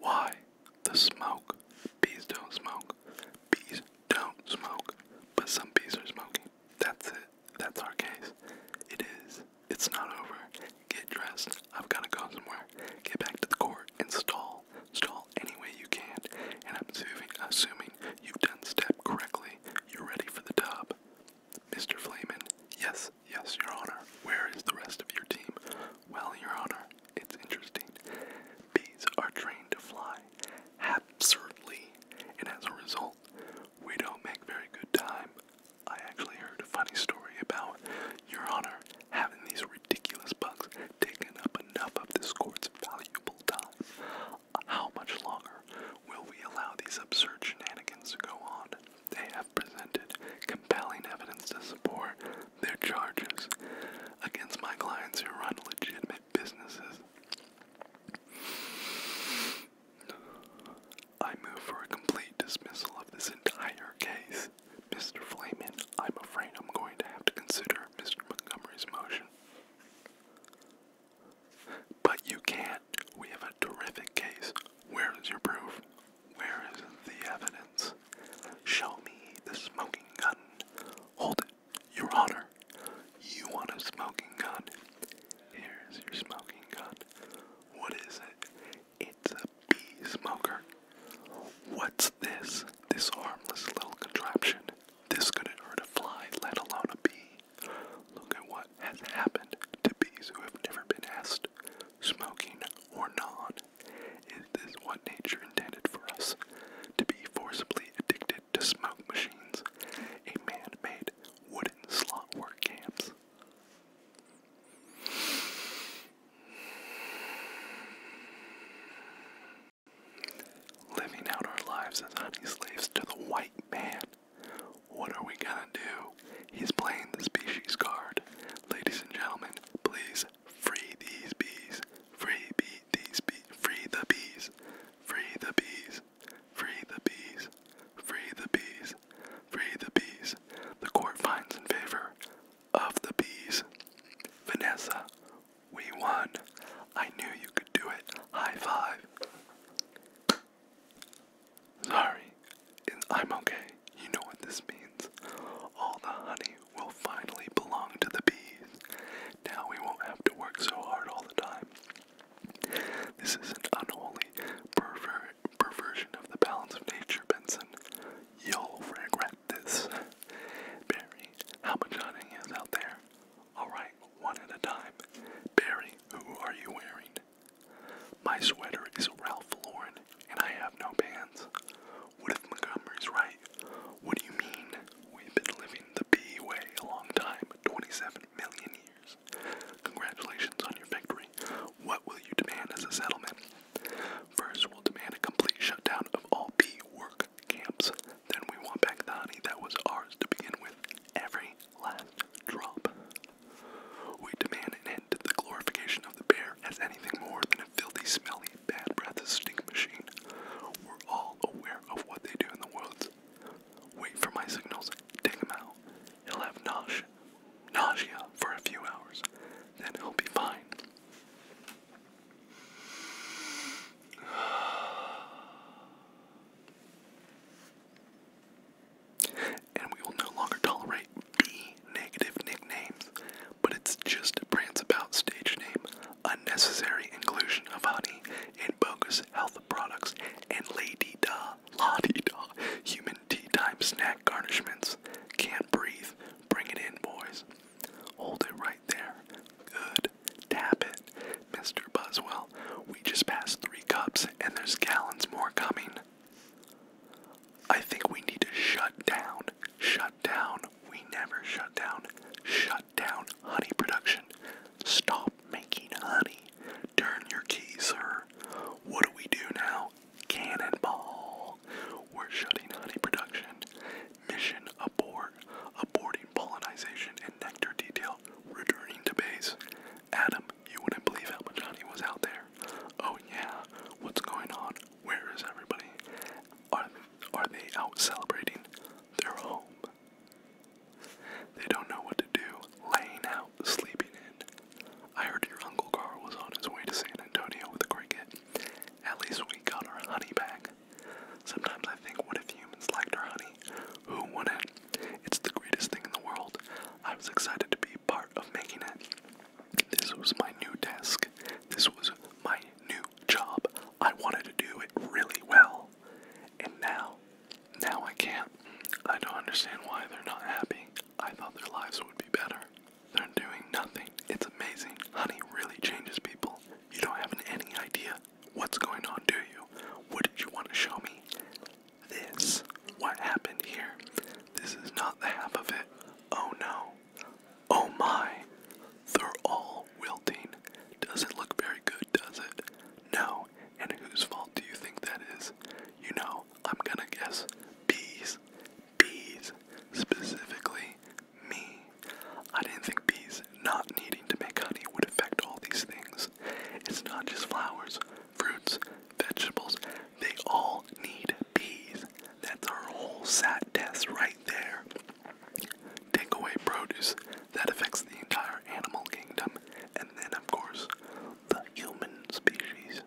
Why? The smoke. Bees don't smoke. Bees don't smoke, but some bees are smoking. That's it. That's our case. It is. It's not over. Get dressed. I've got to go somewhere. Get back to the court Install. stall. Stall any way you can. And I'm assuming, assuming you've done step correctly. You're ready for the dub. Mr. Flamen, yes, yes, Your Honor. Where is the rest of your team? Well, Your Honor, it's interesting. Bees are trained to fly absurdly, and as a result, we don't make very good time. I actually heard a funny story about Your Honor having these ridiculous bugs taking up enough of this court's valuable time. How much longer will we allow these absurd shenanigans to go on? They have presented compelling evidence to support their charges against my clients who run legitimate businesses. I move for a complete dismissal of this entire case. Mr. Flamin, I'm afraid I'm going to have to consider Mr. Montgomery's motion. But you can't. We have a terrific case. Where is your proof? Where is the evidence? Show me the smoking gun. Hold it. Your Honor, you want a smoking gun. Here's your smoking gun. What is it? It's a bee smoker. What's this? This harmless little contraption. This couldn't hurt a fly, let alone a bee. Look at what has happened to bees who have never been asked, smoking or not. Is this what nature intended for us? To be forcibly addicted to smoke machines, a man made wooden slot work camps. Living out our lives as honey slaves to the white man. What are we gonna do? He's playing the species card. Ladies and gentlemen, please free these bees. Free bee, these bees. Free the bees. Free the bees. Free the bees. Free the bees. Free the bees. The court finds in favor of the bees. Vanessa, we won. I knew you could do it. High five. Sorry, I'm okay. You know what this means. All the honey will finally belong to the bees. Now we won't have to work so hard all the time. This is an unholy perversion of the balance of nature, Benson. You'll regret this. Barry, how much hunting is out there? Alright, one at a time. Barry, who are you wearing? My sweater is Ralph Lauren, and I have no pants. What if Montgomery's right? What do you mean? We've been living the bee way a long time 27 million years. Congratulations on your victory. What will you demand as a settlement? First, we'll demand a complete shutdown of all bee work camps. Then, we want back the honey that was ours to begin with every last drop. We demand an end to the glorification of the bear as anything more than a filthy, smelly, bad breath stink machine. We're all aware of what they do in the world wait for my signals, take him out. He'll have nausea, nausea for a few hours, then he'll be fine. And we will no longer tolerate B negative nicknames, but it's just a Brant's About stage name unnecessary inclusion of honey in bogus health products, and lady da, la da, human tea time snack garnishments. Can't breathe. Bring it in, boys. Hold it right there. Good. Tap it. Mr. Buzzwell, we just passed three cups and there's gallons more coming. I think we need to shut down. Shut down. We never shut down. Shut down honey production. Stop making honey. Turn your key, sir. What do we do now? Cannonball. We're shutting honey production. Mission abort. Aborting pollination and nectar detail. Returning to base. Adam, you wouldn't believe how much honey was out there. Oh yeah. What's going on? Where is everybody? Are, are they out celebrating? They're home. They don't know what to do, laying out, sleeping in. I heard your Uncle Carl was on his way to San Antonio with a cricket. At least we got our honey back. Sometimes I think, what if humans liked our honey? Who wouldn't? It's the greatest thing in the world. I was excited to be part of making it. This was my new desk. This was my new job. I wanted to do it really well. And now, now I can't. I don't understand why they're not happy. I thought their lives would be better. They're doing nothing. It's amazing. Honey really changes people. You don't have any idea what's going on, do you? What did you want to show me? This. What happened here? This is not the half of it. Oh no. Oh my. They're all wilting. Doesn't look very good, does it? No. And whose fault do you think that is? You know, I'm gonna guess bees. Bees. Specifically, me. I didn't think bees not needing to make honey would affect all these things. It's not just flowers, fruits, vegetables. They all need bees. That's our whole sat test right there. Take away produce, that affects the entire animal kingdom, and then, of course, the human species.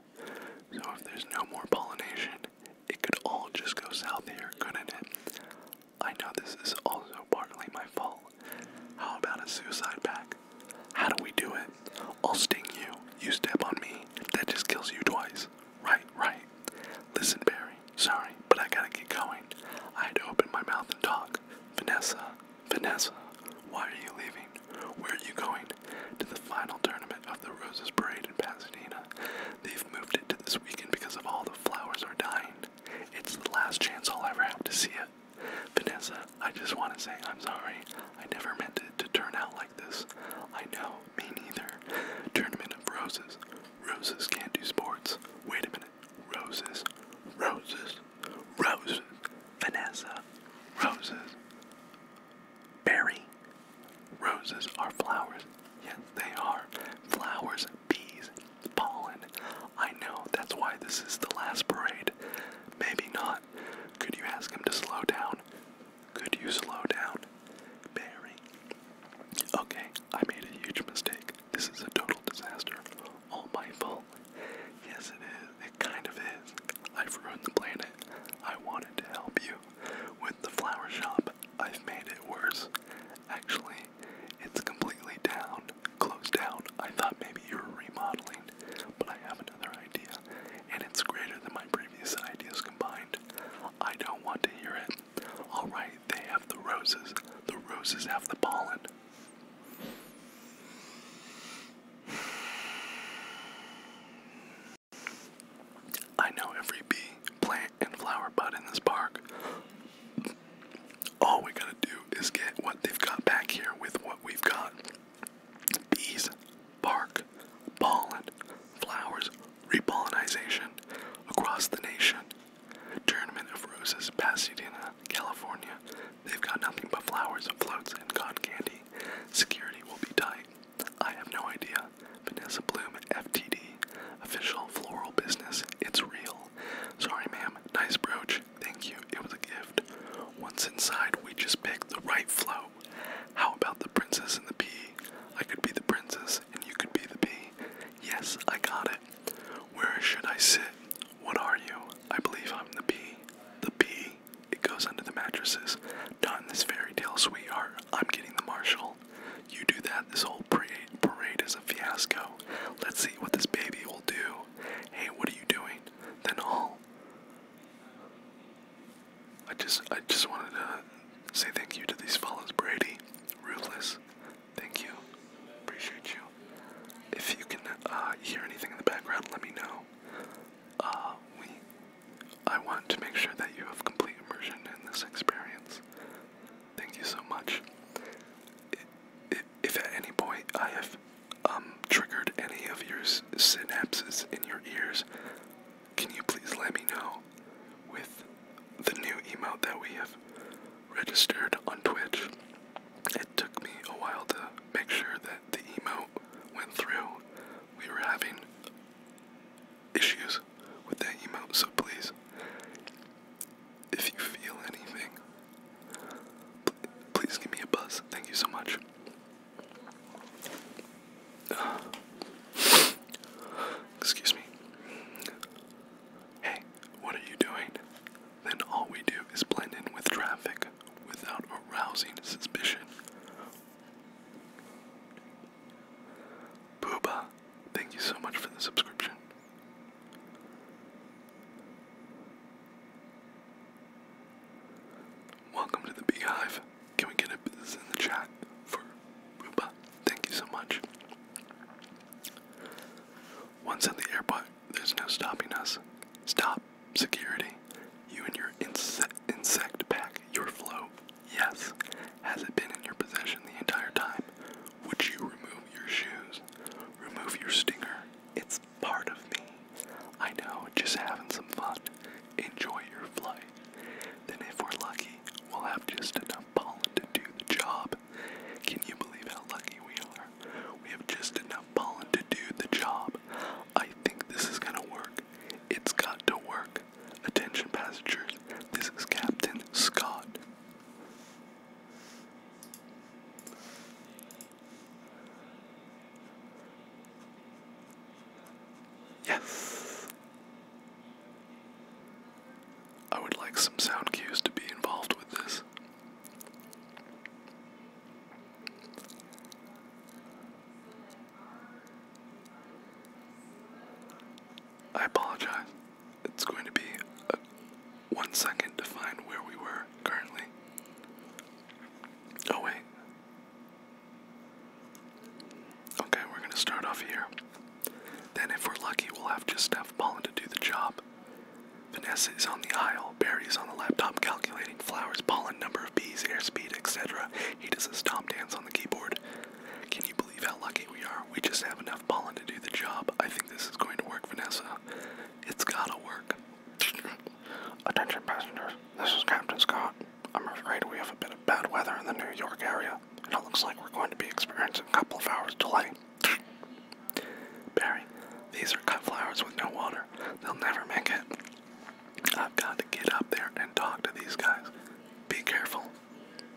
So, if there's no more pollination, it could all just go south here, couldn't it? I know this is also partly my fault. How about a suicide pact? How do we do it? I'll sting you, you step on me, that just kills you twice. Right, right. Listen, Barry, sorry, but I gotta get going. I had to open my mouth and talk. Vanessa, Vanessa, why are you leaving? Where are you going? To the final tournament of the Roses Parade in Pasadena. They've moved it to this weekend because of all the flowers are dying. It's the last chance I'll ever have to see it. Vanessa, I just want to say I'm sorry. I never meant it to turn out like this. I know, me neither. Tournament of Roses. Roses can't do sports. Wait a minute. Roses, roses, roses. Vanessa, roses. Berry, roses are flowers. Yes, they are. Flowers, bees, pollen. I know, that's why this is the last parade. Maybe not. Could you ask him to slow down? Could you slow down? Berry. Okay, I made a huge mistake. This is a total disaster. All oh my fault. Yes, it is. It kind of is. I've ruined the planet. I wanted to help you. With the flower shop, I've made it worse. Actually, it's completely down, closed down. I thought maybe you were remodeling, but I have another idea, and it's greater than my previous ideas combined. I don't want to hear it. Alright, they have the roses. The roses have the pollen. I know every bee, plant, and flower bud in this park. All we gotta do is get what they've got back here with what we've got. Bees, bark, pollen, flowers, repollinization across the nation Tournament of Roses, Pasadena, California. They've got nothing but flowers, floats, and con candy. Security will be tight. I have no idea. Vanessa Bloom, FTD. Official floral business. It's real. Sorry, ma'am. Nice brooch. Thank you. It was a gift. Once inside, we just pick the right float. How about the princess and the pea? I could be the princess and you could be the pea. Yes, I got it. Where should I sit? What are you? I believe I'm the bee. The bee? It goes under the mattresses. Not in this fairy tale, sweetheart. I'm getting the marshal. You do that, this whole parade is a fiasco. Let's see what this baby will do. Hey, what are you doing? Then all. I just, I just wanted to say thank you to these fellas, Brady, Ruthless, Thank you. Appreciate you. If you can uh, hear anything in the background, let me know. Uh, we, I want to make sure that you have complete immersion in this experience. Thank you so much. If, at any point I have um, triggered any of your synapses in your ears, can you please let me know with the new emote that we have registered on Twitch? It took me a while to make sure that the emote went through. We were having issues with that emote, so please, if you feel anything, please give me a buzz. Thank you so much. *sighs* excuse me hey, what are you doing? Then all we do is blend in with traffic without arousing suspicion. Booba, thank you so much for the subscription. Welcome to the Beehive. Can we get a business in the chat for Booba? Thank you so much. Once at the airport, there's no stopping us. Stop, security. You and your inse insect pack, your flow. Yes. Has it been in your possession the entire time? Would you remove your shoes? Remove your stinger. It's part of me. I know, just having some fun. Enjoy your flight. Then, if we're lucky, we'll have just enough pollen to do the job. Can you believe how lucky we are? We have just enough pollen to do the job. I think this is gonna work. It's got to work. Attention passengers, this is Captain Scott. Yes! I would like some sound cues to be involved with this. I apologize. It's going to be a, one second to find where we were currently. Oh, wait. Okay, we're going to start off here. Then, if we're lucky, we'll have just Steph pollen to do the job. Vanessa is on the aisle. Barry is on the laptop calculating flowers, pollen, number of bees, airspeed, etc. He does a stomp dance on the keyboard. Can you believe how lucky we are? We just have enough pollen to do the job. I think this is going to work, Vanessa. It's gotta work. *laughs* Attention passengers, this is Captain Scott. I'm afraid we have a bit of bad weather in the New York area, and it looks like we're going to be experiencing a couple of hours delay. Barry, these are cut flowers with no water. They'll never make it. I've got to get up there and talk to these guys. Be careful.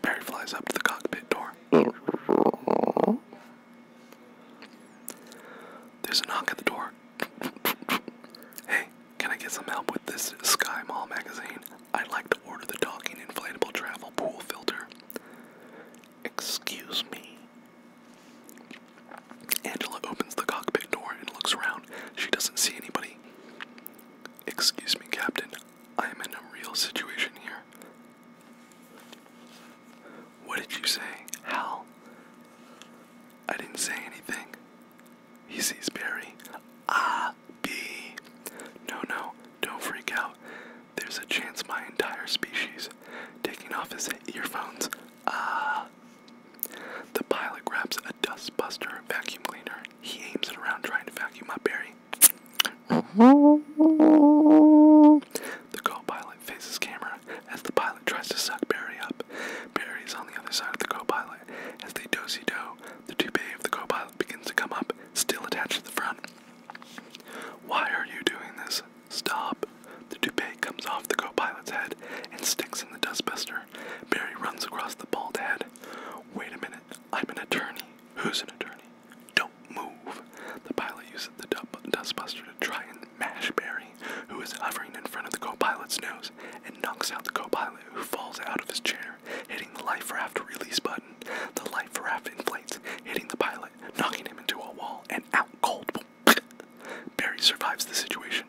Barry flies up to the cockpit door. There's a knock at the door. Hey, can I get some help with this Sky Mall magazine? I'd like to order the talking inflatable travel pool filter. Excuse me, Angela opens the cockpit door and looks around. She doesn't see anybody. Excuse me, Captain. I am in a real situation here. What did you say? Hal? I didn't say anything. He sees Barry. Ah, B. No, no, don't freak out. There's a chance my entire species. Taking off his earphones. Ah. The pilot grabs a dustbuster vacuum cleaner. He aims it around trying to vacuum up Barry. The co-pilot faces camera as the pilot tries to suck Barry up. Barry is on the other side of the co-pilot. As they do do the toupee of the co-pilot begins to come up, still attached to the front. Why are you doing this? Stop! The toupee comes off the co pilot's head and sticks in the dustbuster. Barry runs across the bald head. Wait a minute, I'm an attorney. Who's an attorney? Don't move. The pilot uses the dustbuster to try and mash Barry, who is hovering in front of the co pilot's nose, and knocks out the co pilot, who falls out of his chair, hitting the life raft release button. The life raft inflates, hitting the pilot knocking him into a wall and out cold. *laughs* Barry survives the situation.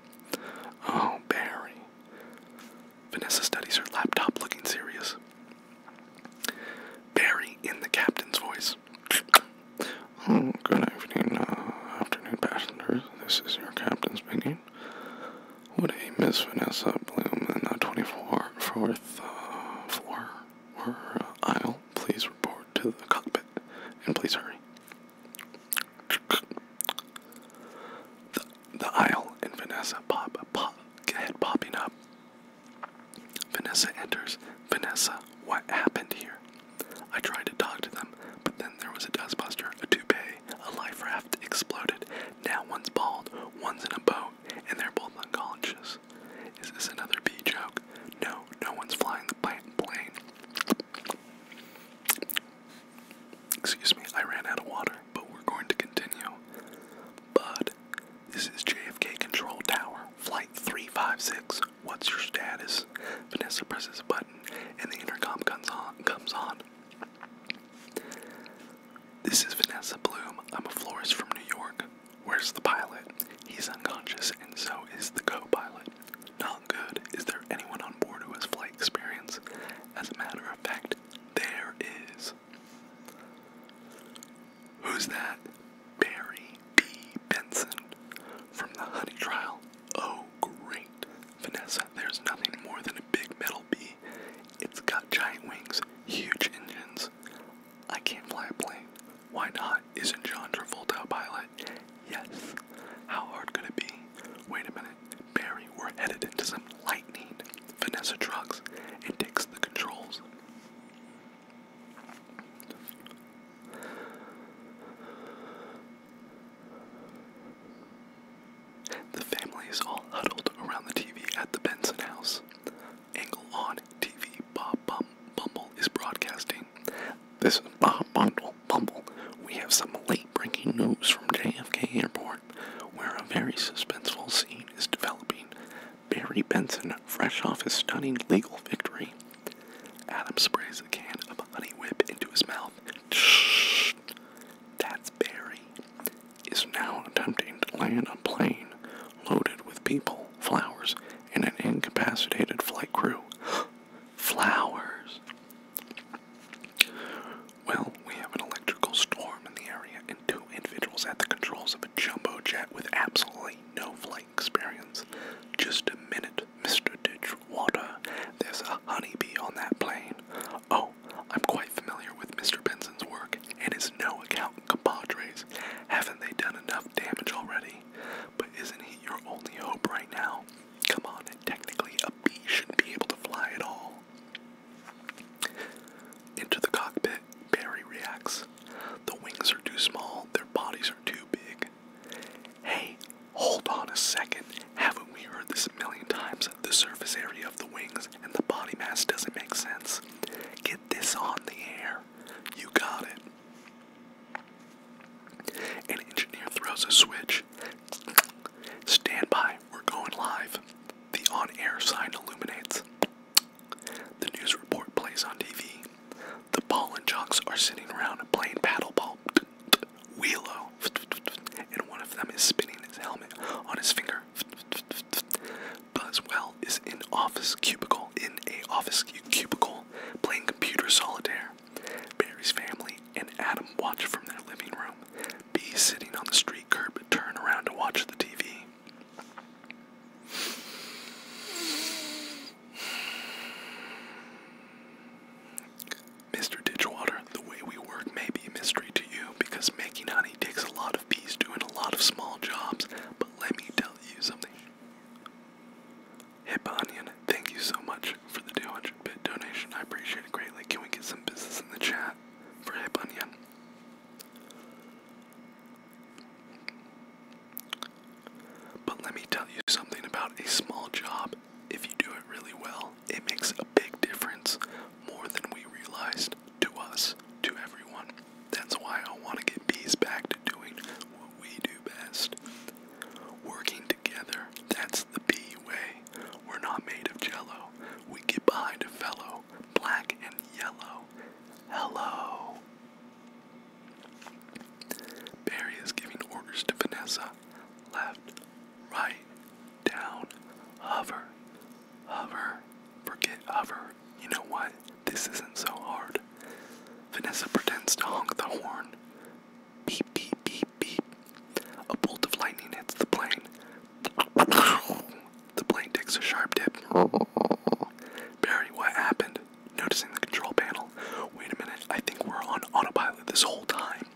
Oh, Barry. Vanessa studies her laptop looking serious. Barry in the captain's voice. *laughs* Oh, good evening, uh, afternoon passengers. This is your captain speaking. Would a Miss Vanessa Bloom in the 24th uh, floor uh, aisle please report to the cockpit, and please hurry. The, the aisle and Vanessa pop, pop, head popping up. Vanessa enters. Vanessa, what happened here? I tried to talk to them, but then there was a dustbuster, a toupee, a life raft exploded. Now one's bald, one's in a boat, and they're both unconscious. Is this another bee joke? No, no one's flying the plane. Excuse me, I ran out of water, but we're going to continue. Bud, this is JFK Control Tower, Flight 356. What's your status? Vanessa presses a button and the intercom Comes on. This is Vanessa Bloom. I'm a florist from New York. Where's the pilot? He's unconscious, and so is the co pilot. Not good. Is there anyone on board who has flight experience? As a matter of fact, there is. Who's that? Barry B. Benson from the Honey Trial. Oh, great. Vanessa, there's nothing more than a big metal bee. It's got giant wings, huge engines. I can't fly a plane. Why not? Isn't John Travolta a pilot? Yes. How hard could it be? Wait a minute. Barry, we're headed into some lightning. Vanessa drugs and takes the controls. The family is all huddled around the TV at the Benson house angle on TV Bob Bumble is broadcasting. This is Bob Bumble. We have some late breaking news from JFK Airport where a very suspenseful scene is developing. Barry Benson, fresh off his stunning legal victory, Adam sprays a can of honey whip into his mouth. Shh, that's Barry. Is now attempting to land a plane loaded with people, flowers, and an incapacitated flight crew. *gasps* flowers! Well, we have an electrical storm in the area and two individuals at the controls of a jumbo jet with absolutely no flight experience. Just a minute, Mr. Ditchwater. There's a honeybee on that plane. Oh, I'm quite familiar with Mr. Benson's work and his no account compadres. Haven't they done enough damage already? But isn't he your only hope right now? Come on, technically a bee shouldn't be able to fly at all. Into the cockpit, Barry reacts. The wings are too small, their bodies are too big. Hey, hold on a second. Haven't we heard this a million times? The surface area of the wings and the body mass doesn't make sense. Get this on the air. You got it. An engineer throws a switch. Stand by, we're going live. The on air sign illuminates. The news report plays on TV. The ball and jocks are sitting around playing paddleball. Wheelo. And one of them is spinning his helmet on his finger. Buzzwell is in office cubicle in a office cubicle playing computer solitaire. Barry's family and Adam watch from their living room. B sitting on the street curb turn around to watch the TV. Mr. Ditchwater, the way we work may be a mystery to you because making honey takes a lot of bees doing a lot of small jobs, but let me tell you something. Hip Onion, thank you so much for the 200 bit donation. I appreciate it greatly. Can we get some business in the chat for Hip Onion? But let me tell you something about a small job. If you do it really well, it makes a big difference more than we realized to us, to everyone. That's why I want to get bees back to doing what we do best. Working together, that's the bee way. We're not made of jello. We get behind a fellow, black and yellow. Hello. Barry is giving orders to Vanessa. Left, right, down, hover, hover, forget hover, you know what? This isn't so hard. Vanessa pretends to honk the horn. Beep, beep, beep, beep. A bolt of lightning hits the plane. The plane takes a sharp dip. Barry, what happened? Noticing the control panel. Wait a minute, I think we're on autopilot this whole time.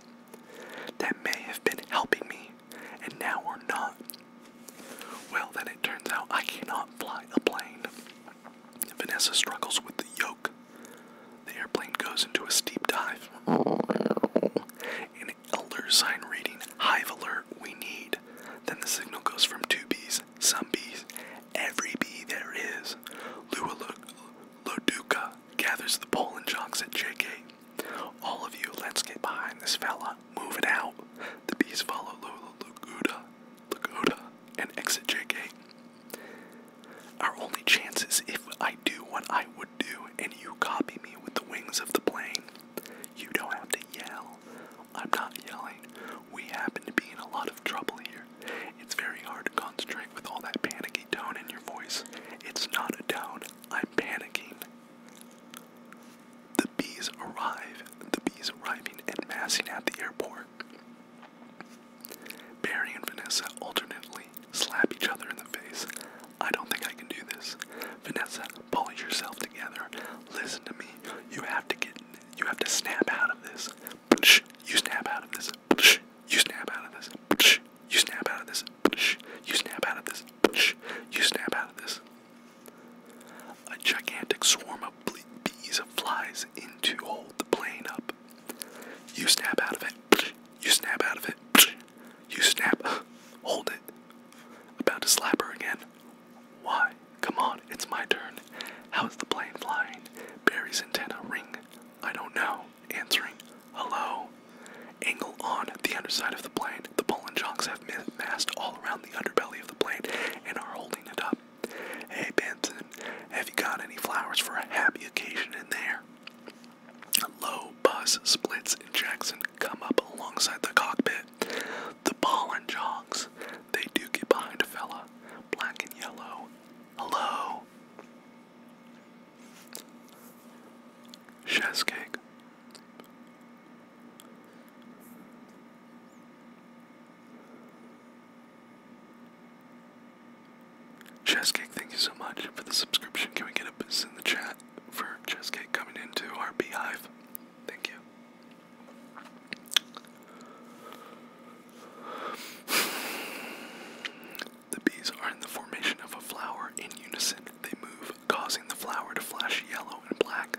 That may have been helping me, and now we're not. Well, then it turns out I cannot fly a plane. Vanessa struggles with the yoke. The airplane goes into a steep dive. An elder sign reading, Hive alert, we need. Then the signal goes from two bees, some bees, every bee there is. Lua Loduca gathers the pole jocks at JK. All of you, let's get behind this fella. Move it out. The bees follow Lua Loduca Lagoda, and exit JK. Our only chance is if I do what I would do and you copy me with the wings of the plane. You don't have to yell. I'm not yelling. We happen to be in a lot of trouble here. It's very hard to concentrate with all that panicky tone in your voice. It's not a tone. I'm panicking. The bees arrive. The bees arriving and massing at the airport. Barry and Vanessa alternately slap each other in the face. I don't think I can do this. Vanessa, pull yourself together. Listen to me. You have to get. You have to snap out of this. You snap out of this. You snap out of this. You snap out of this. You snap out of this. You snap out of this. A gigantic swarm of bees and flies in to hold the plane up. You snap out of it. You snap out of it. You snap. Hold it. About to slap her again. Why? Come on, it's my turn. How's the plane flying? Barry's antenna ring. I don't know. Answering. Hello. Angle on the underside of the plane. The Poland junks have massed all around the underbelly of the plane and are holding it up. Hey Benson, have you got any flowers for a happy occasion in there? Low bus splits and Jackson come up alongside the cockpit. The pollen jogs. They do get behind a fella. Black and yellow. Hello. Chess Chesscake, thank you so much for the subscription. Can we get a buzz in the chat for Chesscake coming into our beehive? Thank you. The bees are in the formation of a flower in unison. They move, causing the flower to flash yellow and black.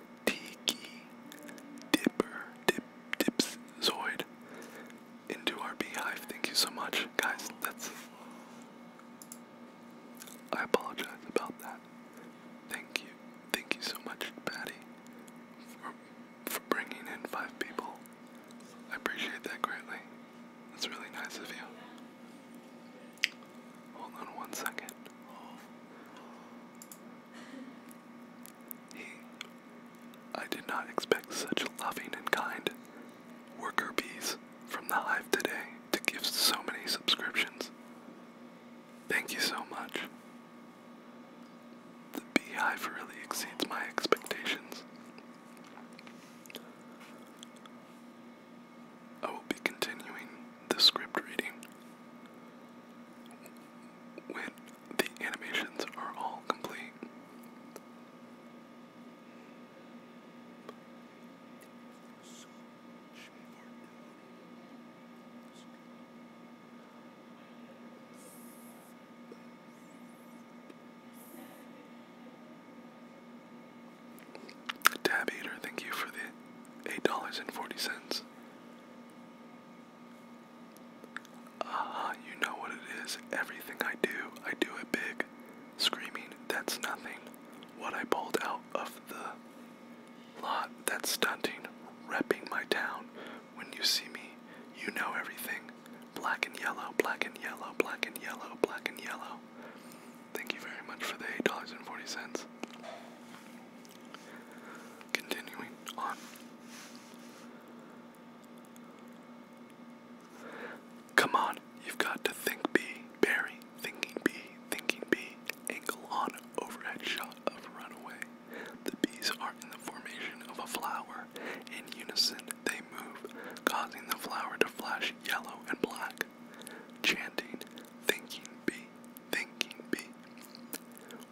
Tiki, Dipper, Dip, Dips, Zoid into our beehive. Thank you so much, guys. That's. I apologize about that. Thank you. Thank you so much, Patty, for, for bringing in five people. I appreciate that greatly. That's really nice of you. Hold on one second. He, I did not expect such loving and kind worker bees from the hive today to give so many subscriptions. Thank you so much. The beehive really exceeds my expectations. I will be continuing the script reading when the animations are all complete. Tab Eater, thank you for the $8.40. Ah, you know what it is. Everything I do, I do it big. Screaming, that's nothing. What I pulled out of the lot, that's stunting. Repping my town. When you see me, you know everything. Black and yellow, black and yellow, black and yellow, black and yellow. Thank you very much for the $8.40. Continuing on. Come on, you've got to think B, Barry, thinking B, thinking B, ankle on, overhead shot of runaway. The bees are in the formation of a flower. In unison, they move, causing the flower to flash yellow and black. Chanting, Thinking bee, thinking bee.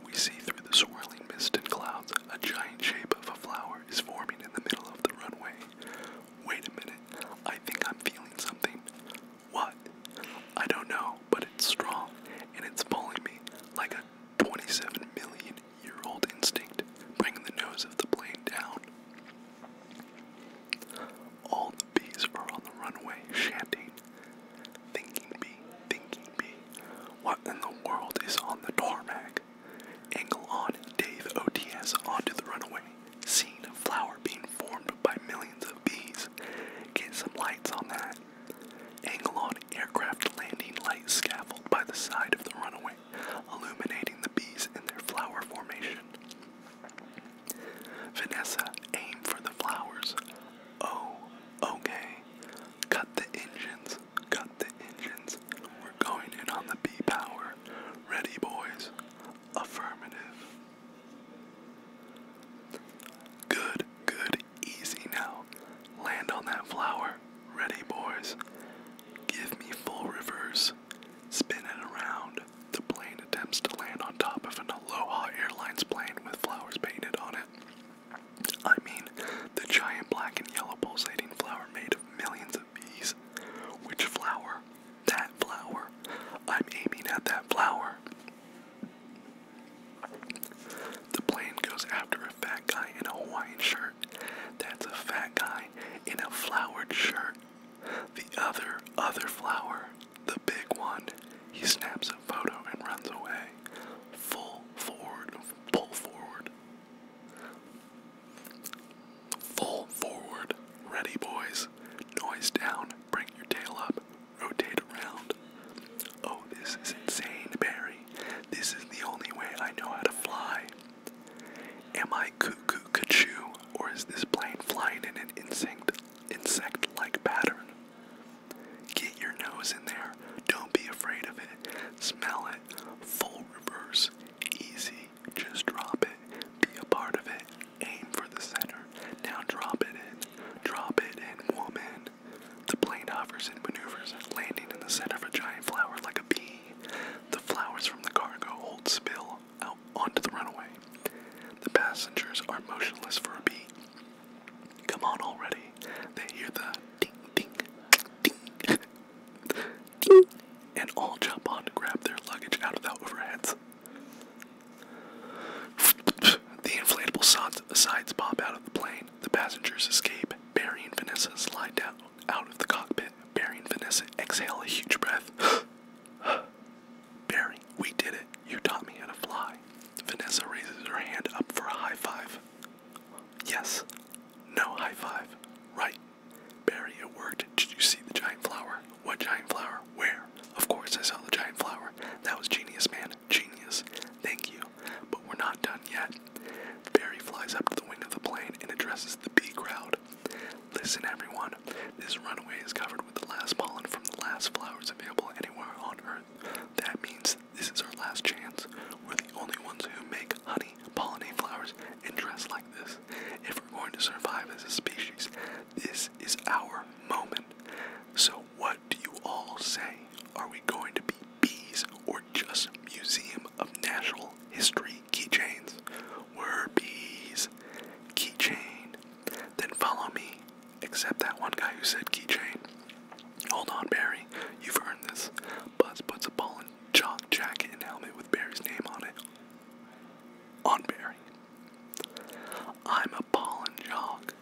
We see through the swirling mist and clouds a giant shape of a flower is forming in the middle of the runway. Wait a minute, I think I'm feeling something. What? I don't know, but it's strong and it's pulling me like a 27 million year old instinct, bringing the nose of the plane down. All the bees are on the runway chanting, Thinking bee, thinking bee, what in the world is on the tarmac? Angle on Dave OTS onto the runway, seeing a flower being formed by millions of bees. Get some lights on that. Angle on aircraft landing light scaffold by the side of the runway, illuminating the bees in their flower formation. Vanessa, aim for the flowers. Oh, okay. Cut the engines. Cut the engines. We're going in on the B power. Ready, boys? Affirmative. Good, good, easy now. Land on that flower. Ready, boys? Give me full reverse. Spin it around. The plane attempts to land on top of an Aloha Airlines plane with flowers painted on it. I mean, the giant black and yellow pulsating flower made of millions of bees. Which flower? That flower. I'm aiming at that flower. The plane goes after a fat guy in a Hawaiian shirt. That's a fat guy in a flowered shirt. The other, other flower the big one, he snaps a photo and runs away. Full forward, pull forward. Full forward, ready boys. Noise down, bring your tail up, rotate around. Oh, this is insane, Barry. This is the only way I know how to fly. Am I cuckoo, cuckoo, or is this plane flying in an insect, insect-like pattern? Get your nose in there. Don't be afraid of it. Smell it. Full reverse. Easy. Just drop it. Be a part of it. Aim for the center. Now drop it in. Drop it in. Woman. The plane hovers and maneuvers, landing in the center of a giant flower like a bee. The flowers from the cargo hold spill out onto the runway. The passengers are motionless for a beat. Come on already. They hear the ding, ding, ding, ding, and all jump on to grab their luggage out of the overheads. The inflatable sides pop out of the plane. The passengers escape. Barry and Vanessa slide down out of the cockpit. Barry and Vanessa exhale a huge breath. Barry, we did it. You taught me how to fly. Vanessa raises her hand up for a high five. Yes. No high five. Right. Barry, it worked. Did you see the giant flower? What giant flower? Where? Of course I saw the giant flower. That was genius, man. Genius. Thank you. But we're not done yet. Barry flies up to the wing of the plane and addresses the bee crowd. Listen, everyone. This runway is covered with the last pollen from the last flowers available anywhere on Earth. That means this is our last chance. We're the only ones who make honey, pollinate flowers, and dress like this. If we're going to survive as a species, this is our moment. So, what do you all say? Are we going to be bees or just Museum of Natural History keychains? We're bees. Keychain. Then follow me Except that one guy who said keychain. Hold on, Barry. You've earned this. Buzz puts a ball in chalk jacket and helmet with Barry's name on it. On Barry. I'm a ball and jog.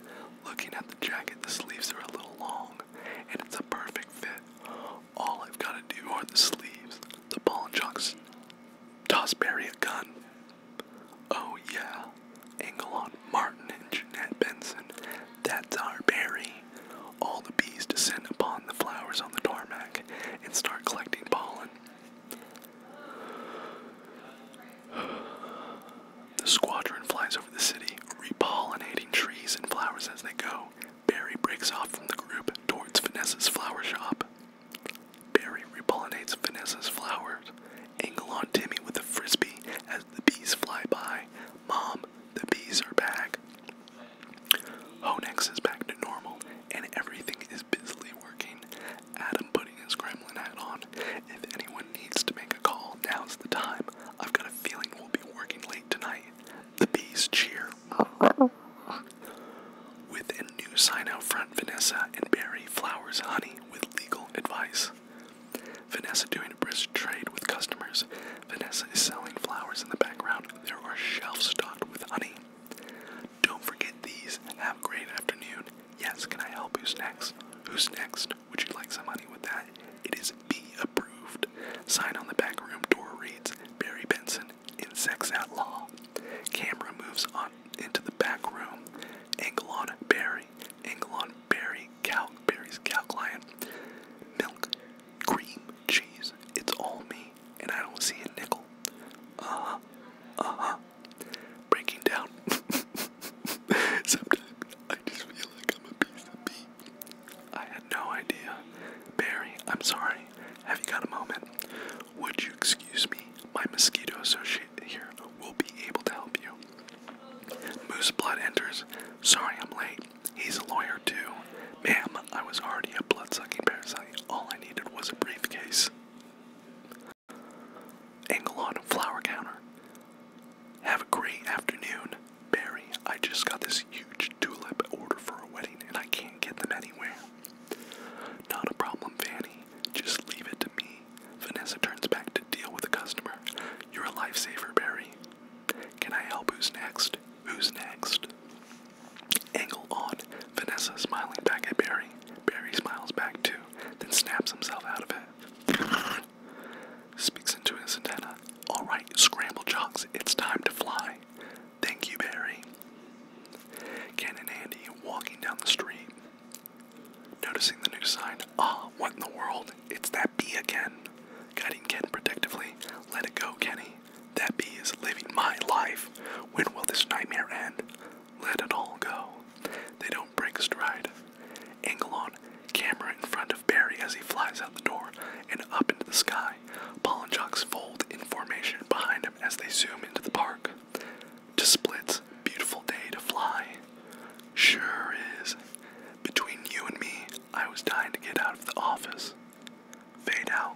Looking at the jacket, the sleeves are a little long, and it's a perfect fit. All I've got to do are the sleeves. The ball and jogs toss Barry a gun. Oh yeah, Angelon Martin and Jeanette Benson. That's our berry. All the bees descend upon the flowers on the tarmac and start collecting pollen. The squadron flies over the city, repollinating trees and flowers as they go. Barry breaks off from the group towards Vanessa's flower shop. Barry repollinates Vanessa's flowers. Angle on Timmy with a frisbee as the bees fly by. Mom, the bees are back. Honex is back to normal, and everything is busily working. Adam putting his gremlin hat on. If anyone needs to make a call, now's the time. I've got a feeling we'll be working late tonight. The bees cheer. With a new sign out front, Vanessa and Barry flowers honey with legal advice. Vanessa doing a brisk trade with customers. Vanessa is selling flowers in the background. There are shelves stocked with honey. Don't forget these. Have a great afternoon. Yes, can I help? you next? Who's next? Would you like some honey with that? It is B approved. Sign on the back room door reads Barry Benson, Insects at Law. Camera moves on into the back room. Angle on Barry. Angelon berry cow berries cow client milk cream cheese. It's all me, and I don't see a nickel. Uh huh. Uh huh. Breaking down. *laughs* Sometimes I just feel like I'm a piece of meat. I had no idea. Barry, I'm sorry. Have you got a moment? Would you excuse me? My mosquito associate here will be able to help you. Moose Blood enters. Sorry I'm late. He's a lawyer too. Ma'am, I was already a blood sucking parasite. All I needed was a briefcase. Angle on a flower counter. Have a great afternoon. Barry, I just got this huge tulip order for a wedding and I can't get them anywhere. Not a problem, Fanny. Just leave it to me. Vanessa turns back to deal with a customer. You're a lifesaver, Barry. Can I help? Who's next? Who's next? Angle on. Vanessa smiling back at Barry. Barry smiles back too, then snaps himself out of it. Speaks into his antenna. All right, scramble jocks, it's time to fly. Thank you, Barry. Ken and Andy walking down the street. Noticing the new sign, ah, what in the world? It's that bee again. Guiding Ken protectively, let it go, Kenny. That bee is living my life. When will this nightmare end? Let it all go. They don't break stride. Angle on, camera in front of Barry as he flies out the door and up into the sky. Paul and Jocks fold in formation behind him as they zoom into the park to Split's beautiful day to fly. Sure is. Between you and me, I was dying to get out of the office. Fade out.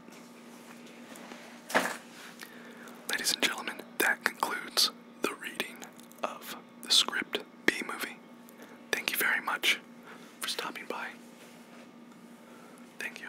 Ladies and gentlemen, that concludes the reading of the script B movie. Thank you very much for stopping by. Thank you.